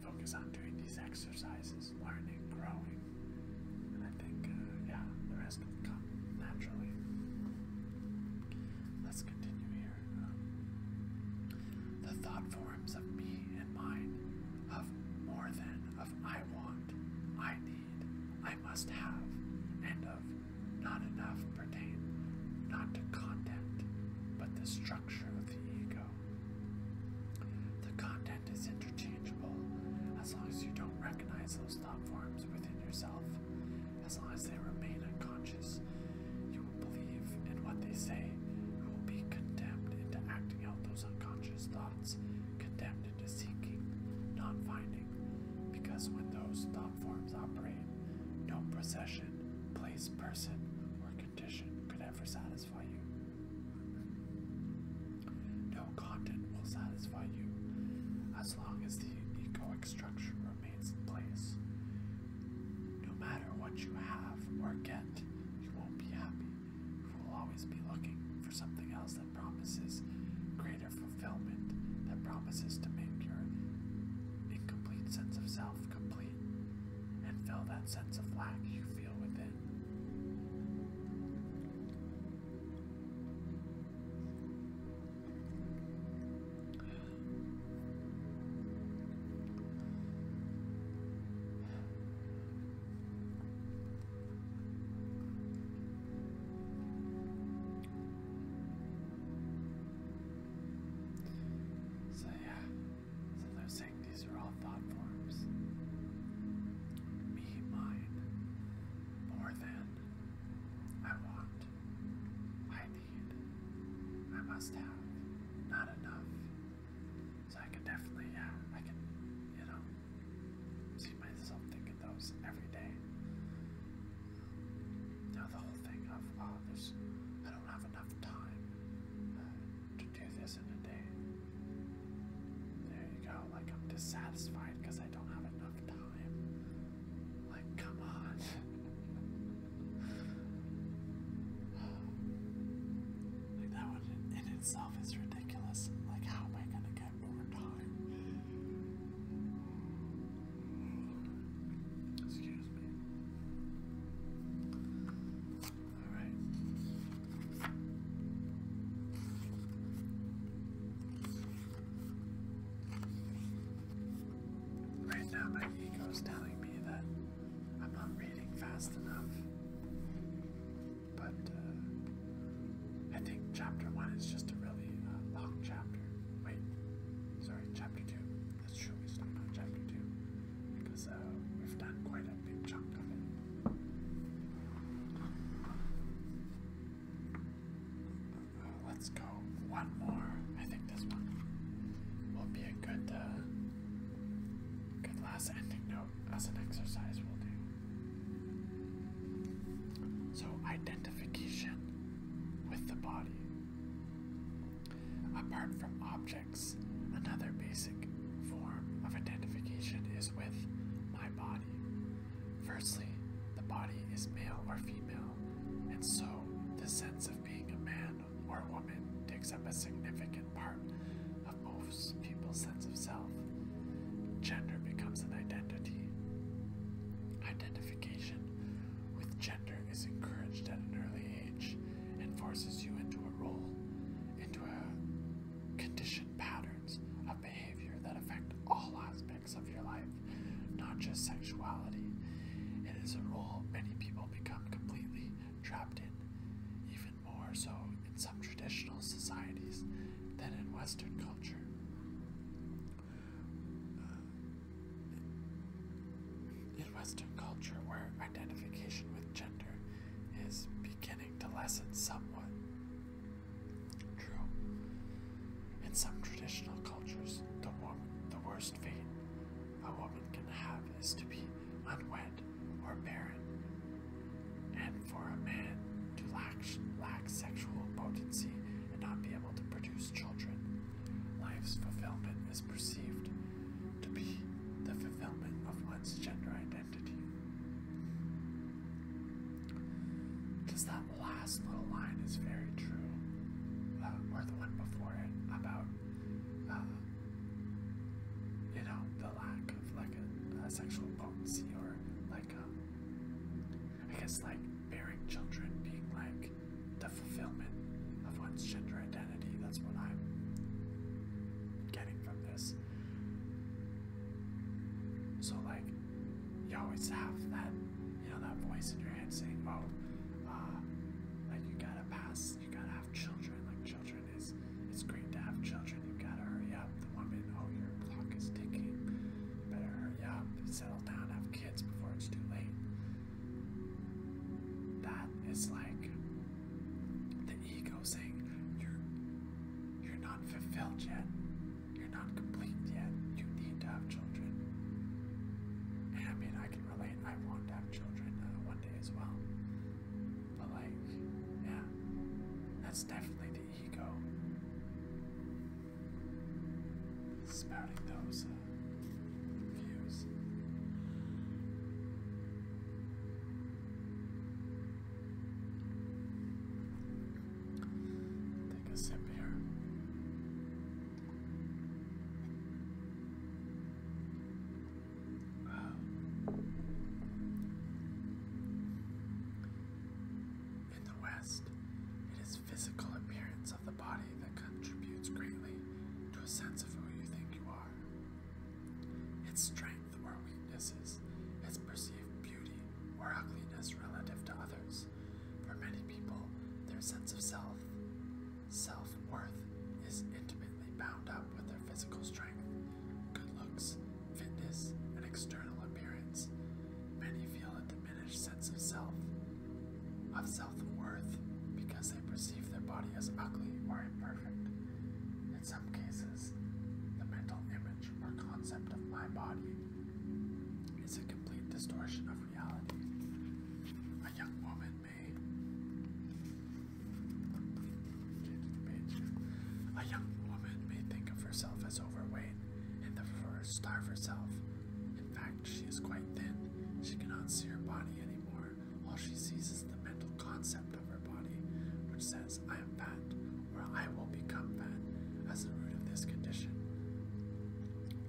focus on doing these exercises, learning, growing, and I think uh, yeah, the rest of the naturally. Let's continue here. the thought forms of me and mine, of more than, of I want, I need, I must have, and of not enough pertain not to content, but the structure of the ego. The content is interchangeable as long as you don't recognize those thought forms within yourself as long as they remain unconscious, you will believe in what they say. You will be condemned into acting out those unconscious thoughts, condemned into seeking, not finding. Because when those thought forms operate, no possession, place, person, or condition could ever satisfy you. No content will satisfy you as long as the egoic structure remains place. No matter what you have or get, you won't be happy. You will always be looking for something else that promises greater fulfillment, that promises to make your incomplete sense of self complete and fill that sense of lack you feel within. So yeah, so they're saying these are all thought forms. Me, mine, more than I want. I need. I must have. Not enough. So I can definitely, yeah, I can, you know, see myself thinking those every day. Now the whole thing of, oh, there's, I don't have enough time uh, to do this in a day. There you go, like I'm dissatisfied because I don't have enough time. Like, come on. like, that one in itself is ridiculous. Like, how am I gonna get more time? Excuse me. All right. Right now, my ego is telling me that I'm not reading fast enough. But uh, I think chapter one is just a really uh, long chapter. Wait, sorry, chapter two. That's true, we stopped on chapter two because uh, we've done quite a big chunk of it let's go one more. I think this one will be a good, uh, good last ending note as an exercise we'll do. So, identification with the body. Apart from objects, another basic form of identification is with my body. Firstly, the body is male or female, and so the sense of being a man or a woman takes up a significant part of most people's sense of self. Gender becomes an identity. Identification with gender is encouraged at an early age and forces you into a role, into a conditioned patterns of behavior that affect all aspects of your life, not just sexuality. It is a role many people become completely trapped in, even more so in some traditional societies than in Western culture. Uh, in Western culture, where identification with gender is beginning to lessen somewhat. True. In some traditional cultures, the, the worst fate a woman can have is to be unwed or barren, and for a man to lack, lack sexual potency and not be able to produce children. Life's fulfillment is perceived to be the fulfillment of one's gender identity. Does that the last little line is very true, uh, or the one before it about uh, you know the lack of like a, sexual potency or like um, I guess like bearing children being like the fulfillment of one's gender identity. That's what I'm getting from this. So like you always have that you know, that voice in your head saying, "Oh, uh, like you gotta pass, you gotta have children. Like children is, it's great to have children. You gotta hurry up." The woman, "Oh, your clock is ticking. You better hurry up. Settle down. Have kids before it's too late." That is like the ego saying, "You're, you're not fulfilled yet. You're not complete yet. You need to have children. And I mean, I can relate. I want to have children uh, one day as well. But, like, yeah, that's definitely the ego. Spouting those uh, views. Take a sip here. Um, in the West, it is physical appearance of the body that contributes greatly to a sense of who you think you are. Its strength or weaknesses, its perceived beauty or ugliness relative to others. For many people, their sense of self, self worth, is intimately bound up with their physical strength, good looks, fitness, and external appearance. Many feel a diminished sense of self, of self worth, because they perceive their body as ugly or imperfect. In some cases, the mental image or concept of my body is a complete distortion of reality. A young woman may a young woman may think of herself as overweight and therefore starve herself. In fact, she is quite thin. She cannot see her body anymore. All she sees is the mental concept of her body, which says, I am fat, or I will become fat. As the root of this condition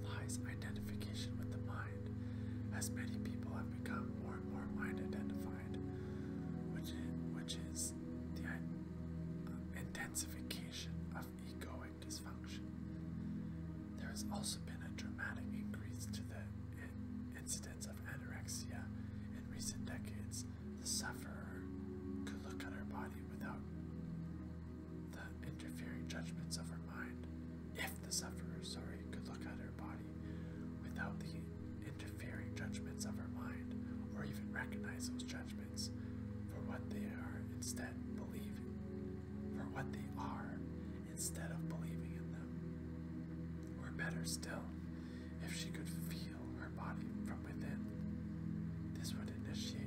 lies identification with the mind, as many people have become more and more mind identified, which which is the intensification of egoic dysfunction. There has also been a dramatic increase to the incidence of anorexia in recent decades. The sufferer could look at her body without the interfering judgments of her mind. If the sufferer, sorry, could look at her body without the interfering judgments of her mind, or even recognize those judgments for what they are instead believing for what they are instead of believing in them. Or better still, if she could feel her body from within, this would initiate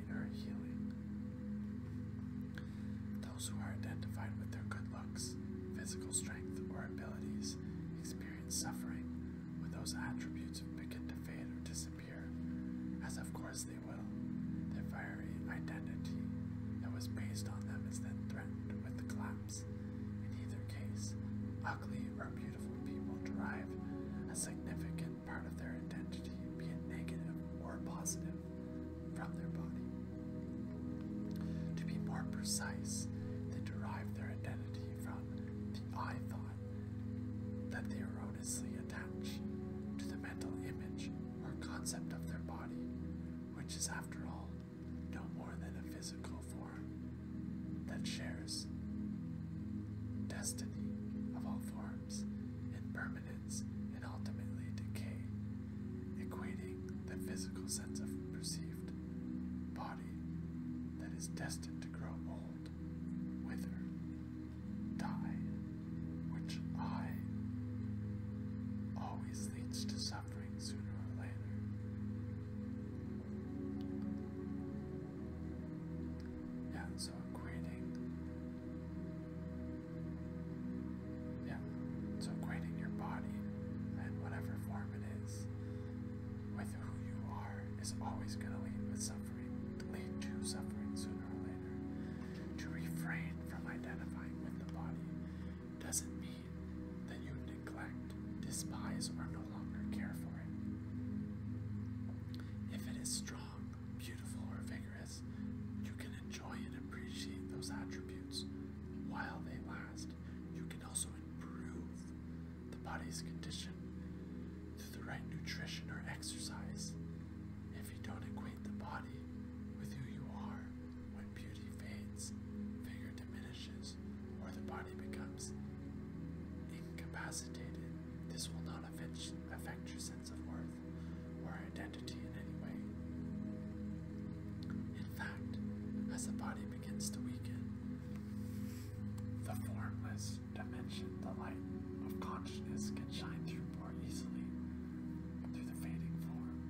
those who are identified with their good looks, physical strength, or abilities experience suffering when those attributes begin to fade or disappear, as of course they will. Their fiery identity that was based on them is then threatened with the collapse. In either case, ugly or beautiful people derive a significant part of their identity, be it negative or positive from their body. To be more precise, they derive their identity from the I thought that they erroneously attach to the mental image or concept of their body, which is, after all, no more than a physical form that shares destiny of all forms in permanence and ultimately decay, equating the physical sense of perceived body that is destined to grow old, wither, die, which I always leads to suffering sooner or later. Yeah, so equating yeah, so equating your body and whatever form it is with who you are is always going to lead with suffering, lead to suffering sooner or later. To refrain from identifying with the body doesn't mean that you neglect, despise, or no longer care for it. If it is strong um, beautiful or vigorous, you can enjoy and appreciate those attributes while they last. You can also improve the body's condition through the right nutrition or exercise. If you don't equate the body with who you are, when beauty fades, vigor diminishes, or the body becomes incapacitated, this will not affect your of worth or identity in any way. In fact, as the body begins to weaken, the formless dimension, the light of consciousness can shine through more easily through the fading form.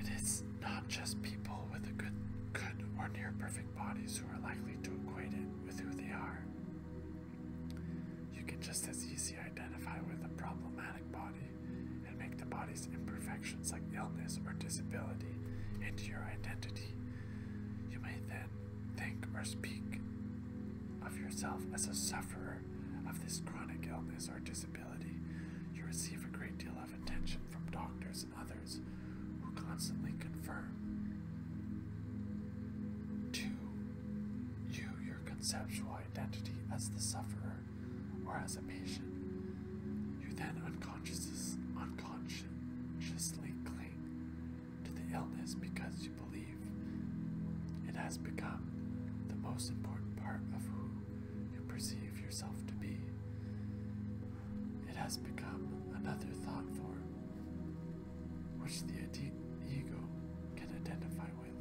It is not just people with a good, good or near perfect bodies who are likely to equate it with who they are. You can just as easily identify with a problematic body and make the body's imperfections like illness or disability into your identity. You may then think or speak of yourself as a sufferer of this chronic illness or disability. You receive a great deal of attention from doctors others who constantly confirm to you your conceptual identity as the sufferer or as a patient. You then unconscious, unconsciously cling to the illness because you believe it has become the most important part of who you perceive yourself to be. It has become another thought form, which the ego can identify with.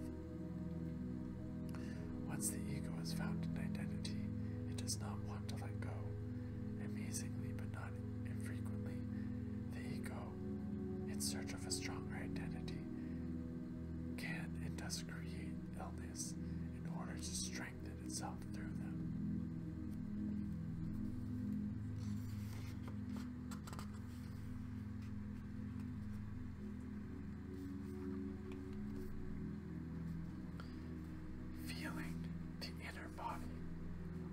Once the ego has found an identity, it does not want to let go. Amazingly, but not infrequently, the ego, in search of a stronger identity, can and does create illness in order to strengthen strengthened itself through them. Feeling the inner body.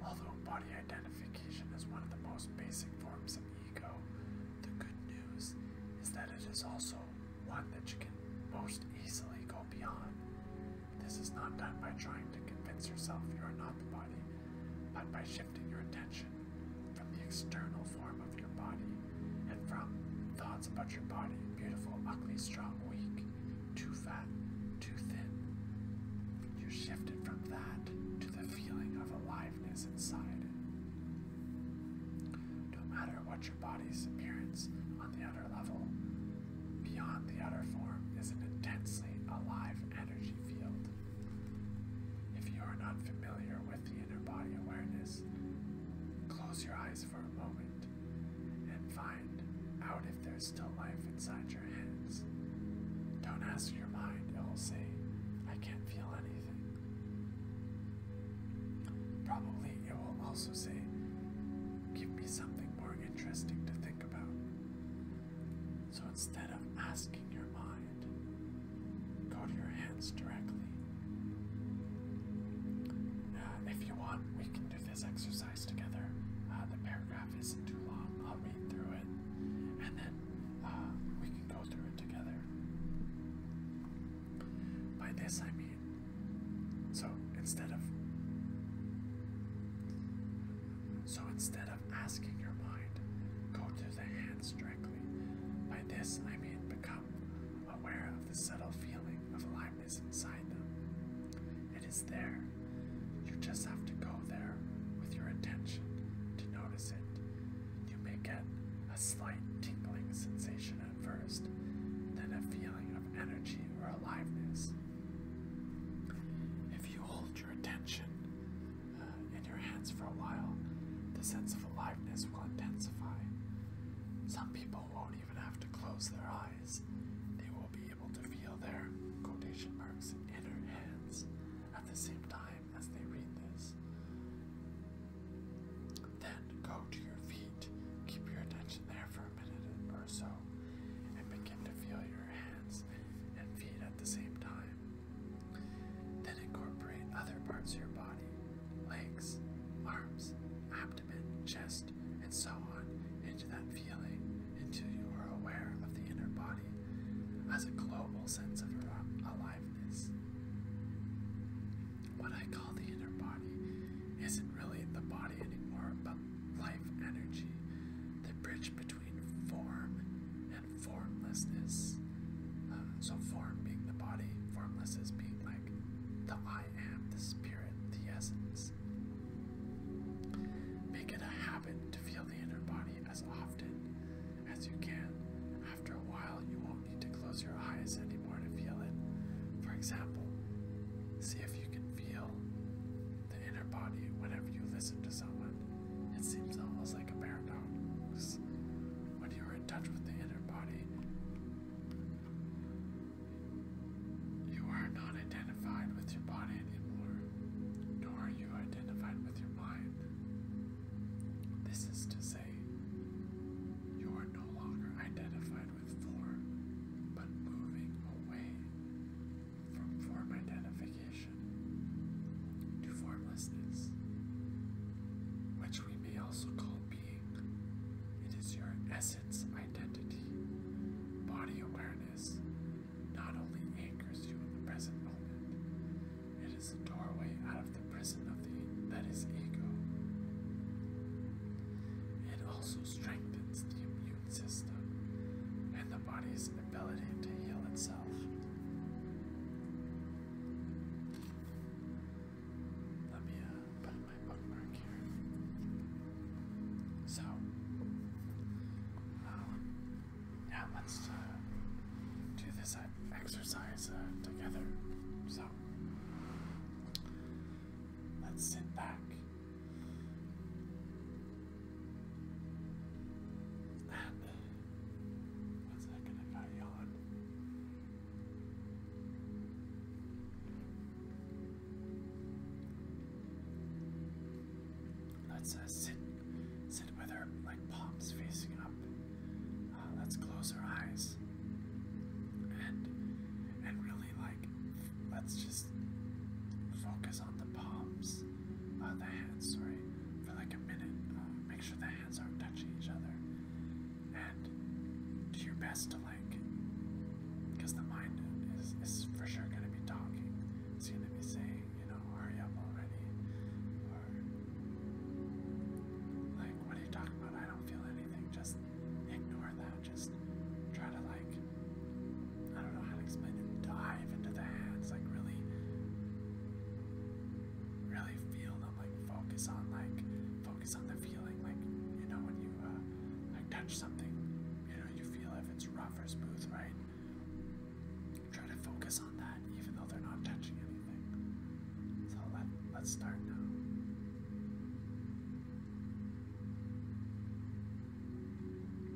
Although body identification is one of the most basic forms of ego, the good news is that it is also one that you can most easily go beyond. This is not done by trying to convince yourself you are not the body, but by shifting your attention from the external form of your body and from thoughts about your body beautiful, ugly, strong, weak, too fat, too thin. You shifted from that to the feeling of aliveness inside. No matter what your body's appearance on the outer Beyond the outer form is an intensely alive energy field. If you are not familiar with the inner body awareness, close your eyes for a moment and find out if there's still life inside your hands. Don't ask your mind, it will say, I can't feel anything. Probably it will also say, Give me something more interesting to think about. So instead of asking your mind, go to your hands directly. Uh, if you want, we can do this exercise together. Uh, the paragraph isn't too long. I'll read through it, and then uh, we can go through it together. By this I mean, so instead of so instead of asking your mind, go to the hands directly. By this, I mean become aware of the subtle feeling of aliveness inside them. It is there. You just have to go there with your attention to notice it. You may get a slight tingling sensation at first, then a feeling of energy or aliveness. If you hold your attention uh, in your hands for a while, the sense of aliveness will intensify. Some people won't even have to close their eyes, they will be able to feel their quotation marks inner hands at the same time as they read this. Then go to your feet, keep your attention there for or so and begin to feel your hands and feet at the same time. Then incorporate other parts of your body, legs, arms, abdomen, chest, and so on into that feeling until you are aware of the inner body as a global sense of aliveness. What I call the inner body isn't really the body body anymore, but life energy, the bridge between form and formlessness. Uh, so, form being the body, formlessness being like the I am, the spirit, the essence. Make it a habit to feel the inner body as often as you can. After a while, you won't need to close your eyes anymore to feel it. For example, see if you can feel the inner body whenever you listen to someone. It seems almost like a paradox. When you are in touch with the inner body, you are not identified with your body anymore, nor are you identified with your mind. This is to say, you are no longer identified with form, but moving away from form identification to formlessness, which we may also call being. It is your essence identity. Body awareness not only anchors you in the present moment, it is the doorway out of the prison of the that is ego. It also strengthens the system and the body's ability to heal itself. Let me uh, put my bookmark here. So, um, yeah, let's uh, do this uh, exercise together. So, let's sit back one second, I got yawn. Let's uh, sit, sit with her like palms facing up. Uh, let's close our eyes and and really like let's just focus on the palms, uh, the hands, sorry, for like a minute. Um, make sure the hands aren't touching each other. And do your best to like, because the mind is, is for sure going to be talking. It's going to be saying, you know, hurry up already. Or, like, what are you talking about? I don't feel anything. Just ignore that. Just try to like I don't know how to explain it. Dive into the hands, like really, really feel them. Like focus on, like focus on the feeling. Like you know when you uh, like touch something, you know you feel if it's rough or smooth, right? Try to focus on that, even though they're not touching anything. So let let's start now.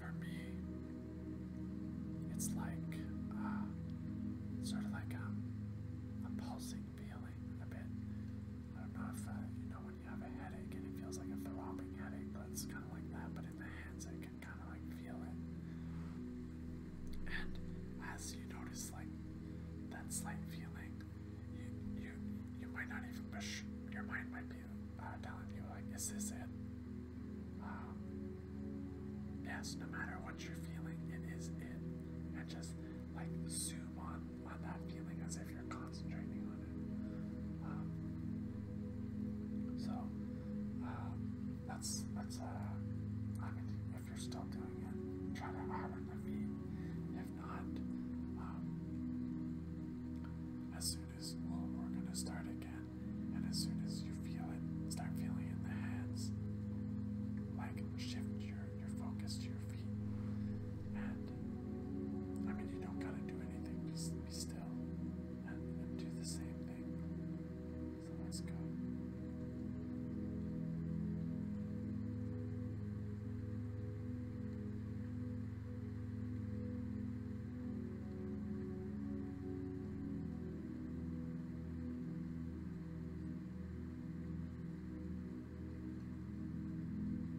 For me, it's like uh, sort of like um, a pulsing feeling a bit. I don't know if uh, you know you have a headache and it feels like a throbbing headache, but it's kind of like that, but in the hands I can kind of like feel it. And as you notice, like that slight feeling, you you you might not even push. Your mind might be uh, telling you like, "Is this it?" Um, yes. No matter what you're feeling, it is it, and just like zoom on on that feeling as it if you're concentrating on it. Um, so uh, that's that's uh, if you're still doing it, try to iron the feet. If not, um, as soon as we're gonna start again, and as soon as you feel it, start feeling in the hands. Like shift your your focus to your feet, and I mean, you don't gotta do anything be still and, do the same thing. So let's go.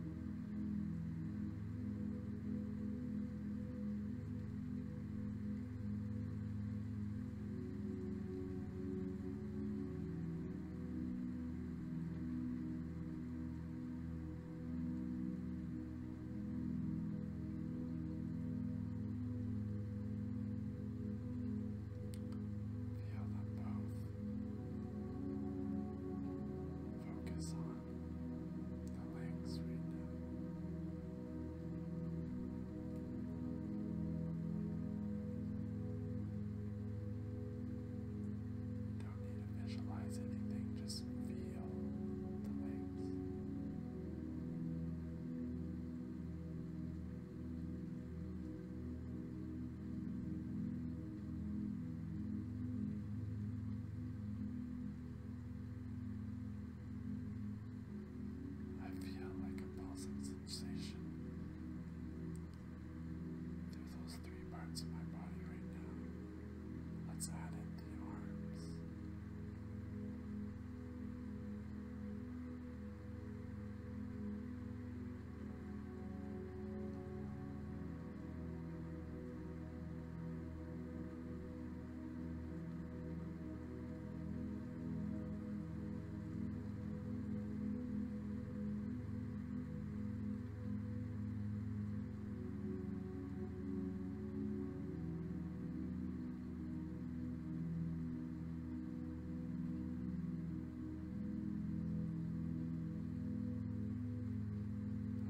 Feel them both. Focus on the legs Don't need to visualize anything, just feel the legs. I feel like a pulsing sensation through those three parts of my body right now. Let's add in the arms.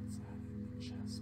Outside of the chest.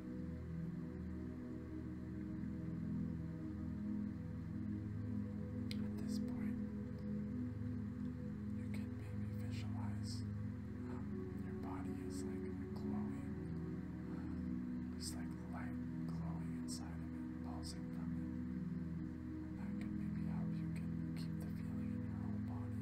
At this point, you can maybe visualize um, your body is like glowing, uh, like light glowing inside of it, pulsing from that can maybe help you keep the feeling in your whole body.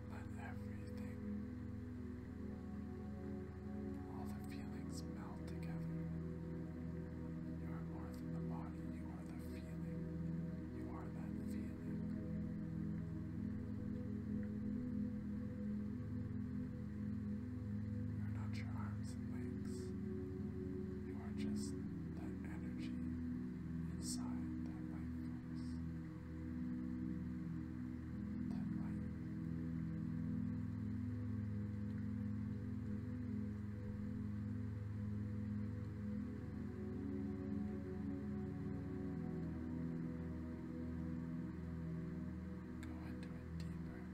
Let everything, all the feelings melt together. You are more than the body, you are the feeling. You are that feeling. You're not your arms and legs, you are just that energy inside that light Go into it deeper and deeper.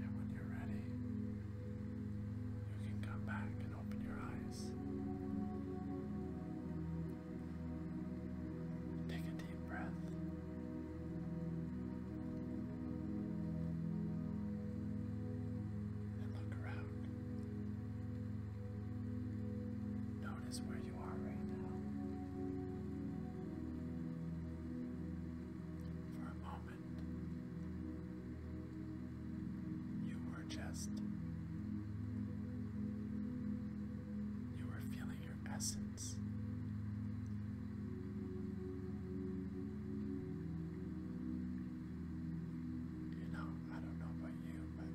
And when you're ready, you can come back and open your eyes. Take a deep breath. And look around. Notice where you are right now. For a moment, you were just. You were feeling your essence. You know, I don't know about you, but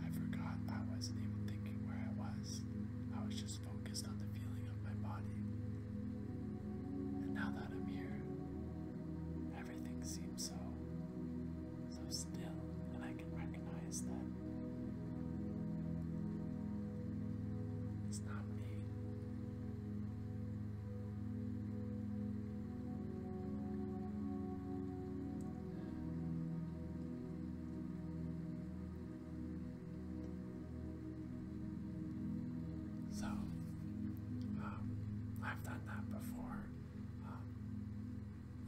I forgot I wasn't even thinking where I was. I was just focused on the feeling of my body. And now that I'm here, everything seems so so still, and I can recognize that it's not me. So, um, I've done that before. Um,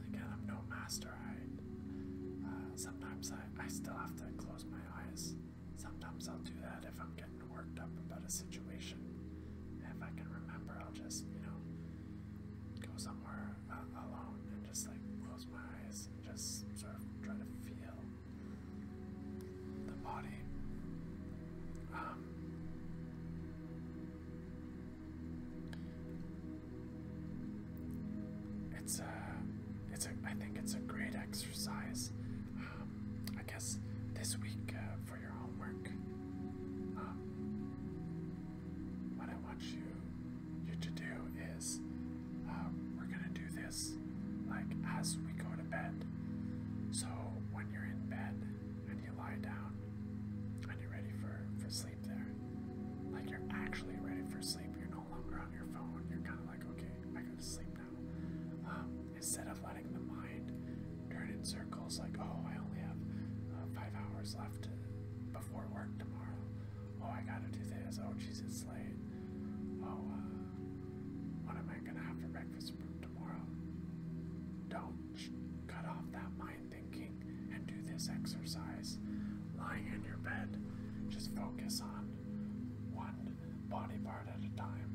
again, I'm no master. I uh, sometimes I, I still have to close my eyes. Sometimes I'll do that if I'm getting worked up about a situation. If I can remember, I'll just you know go somewhere uh, alone and just like close my eyes and just sort of try to feel the body. Um, it's a, it's a. I think it's a great exercise. Um, I guess this week uh, for your homework. Um, what I want you you to do is uh, we're gonna do this like as we go to bed. So when you're in bed and you lie down and you're ready for, for sleep there, like you're actually ready for sleep, you're no longer on your phone, you're kind of like, okay, I go to sleep now. Um, instead of letting the mind turn in circles like, oh, I only have uh, five hours left before work tomorrow, oh, I gotta do this, oh, jeez, it's late, oh, uh, what am I gonna have for breakfast? Don't cut off that mind thinking and do this exercise. Lying in your bed, just focus on one body part at a time.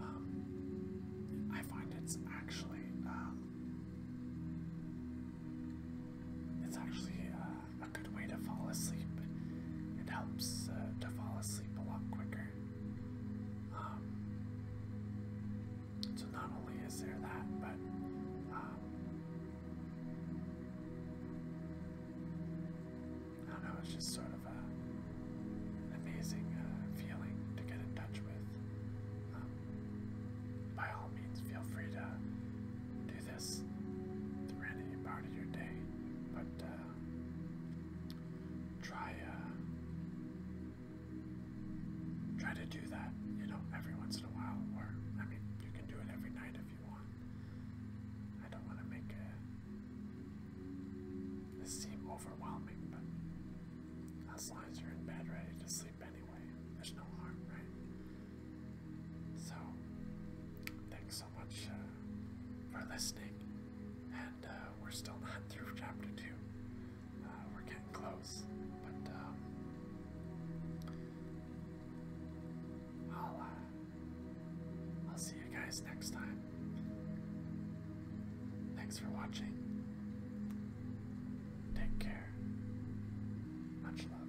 Um, I find it's actually um, it's actually uh, a good way to fall asleep. It helps uh, to fall asleep a lot quicker. Um, so not only is there that, but um, I don't know, it's just sort of a amazing uh, feeling to get in touch with. Um, by all means, feel free to do this through any part of your day, but uh, um, try uh, try to do that, you know, every once in a while. Or I mean, you can do it every night if you want. I don't want to make it seem overwhelming, but as long as you're in bed ready to sleep anyway, there's no harm, right? So, thanks so much uh, for listening, and. Uh, uh, we're still not through chapter two. Uh, we're getting close, but uh, I'll I'll see you guys next time. Thanks for watching. Take care. Much love.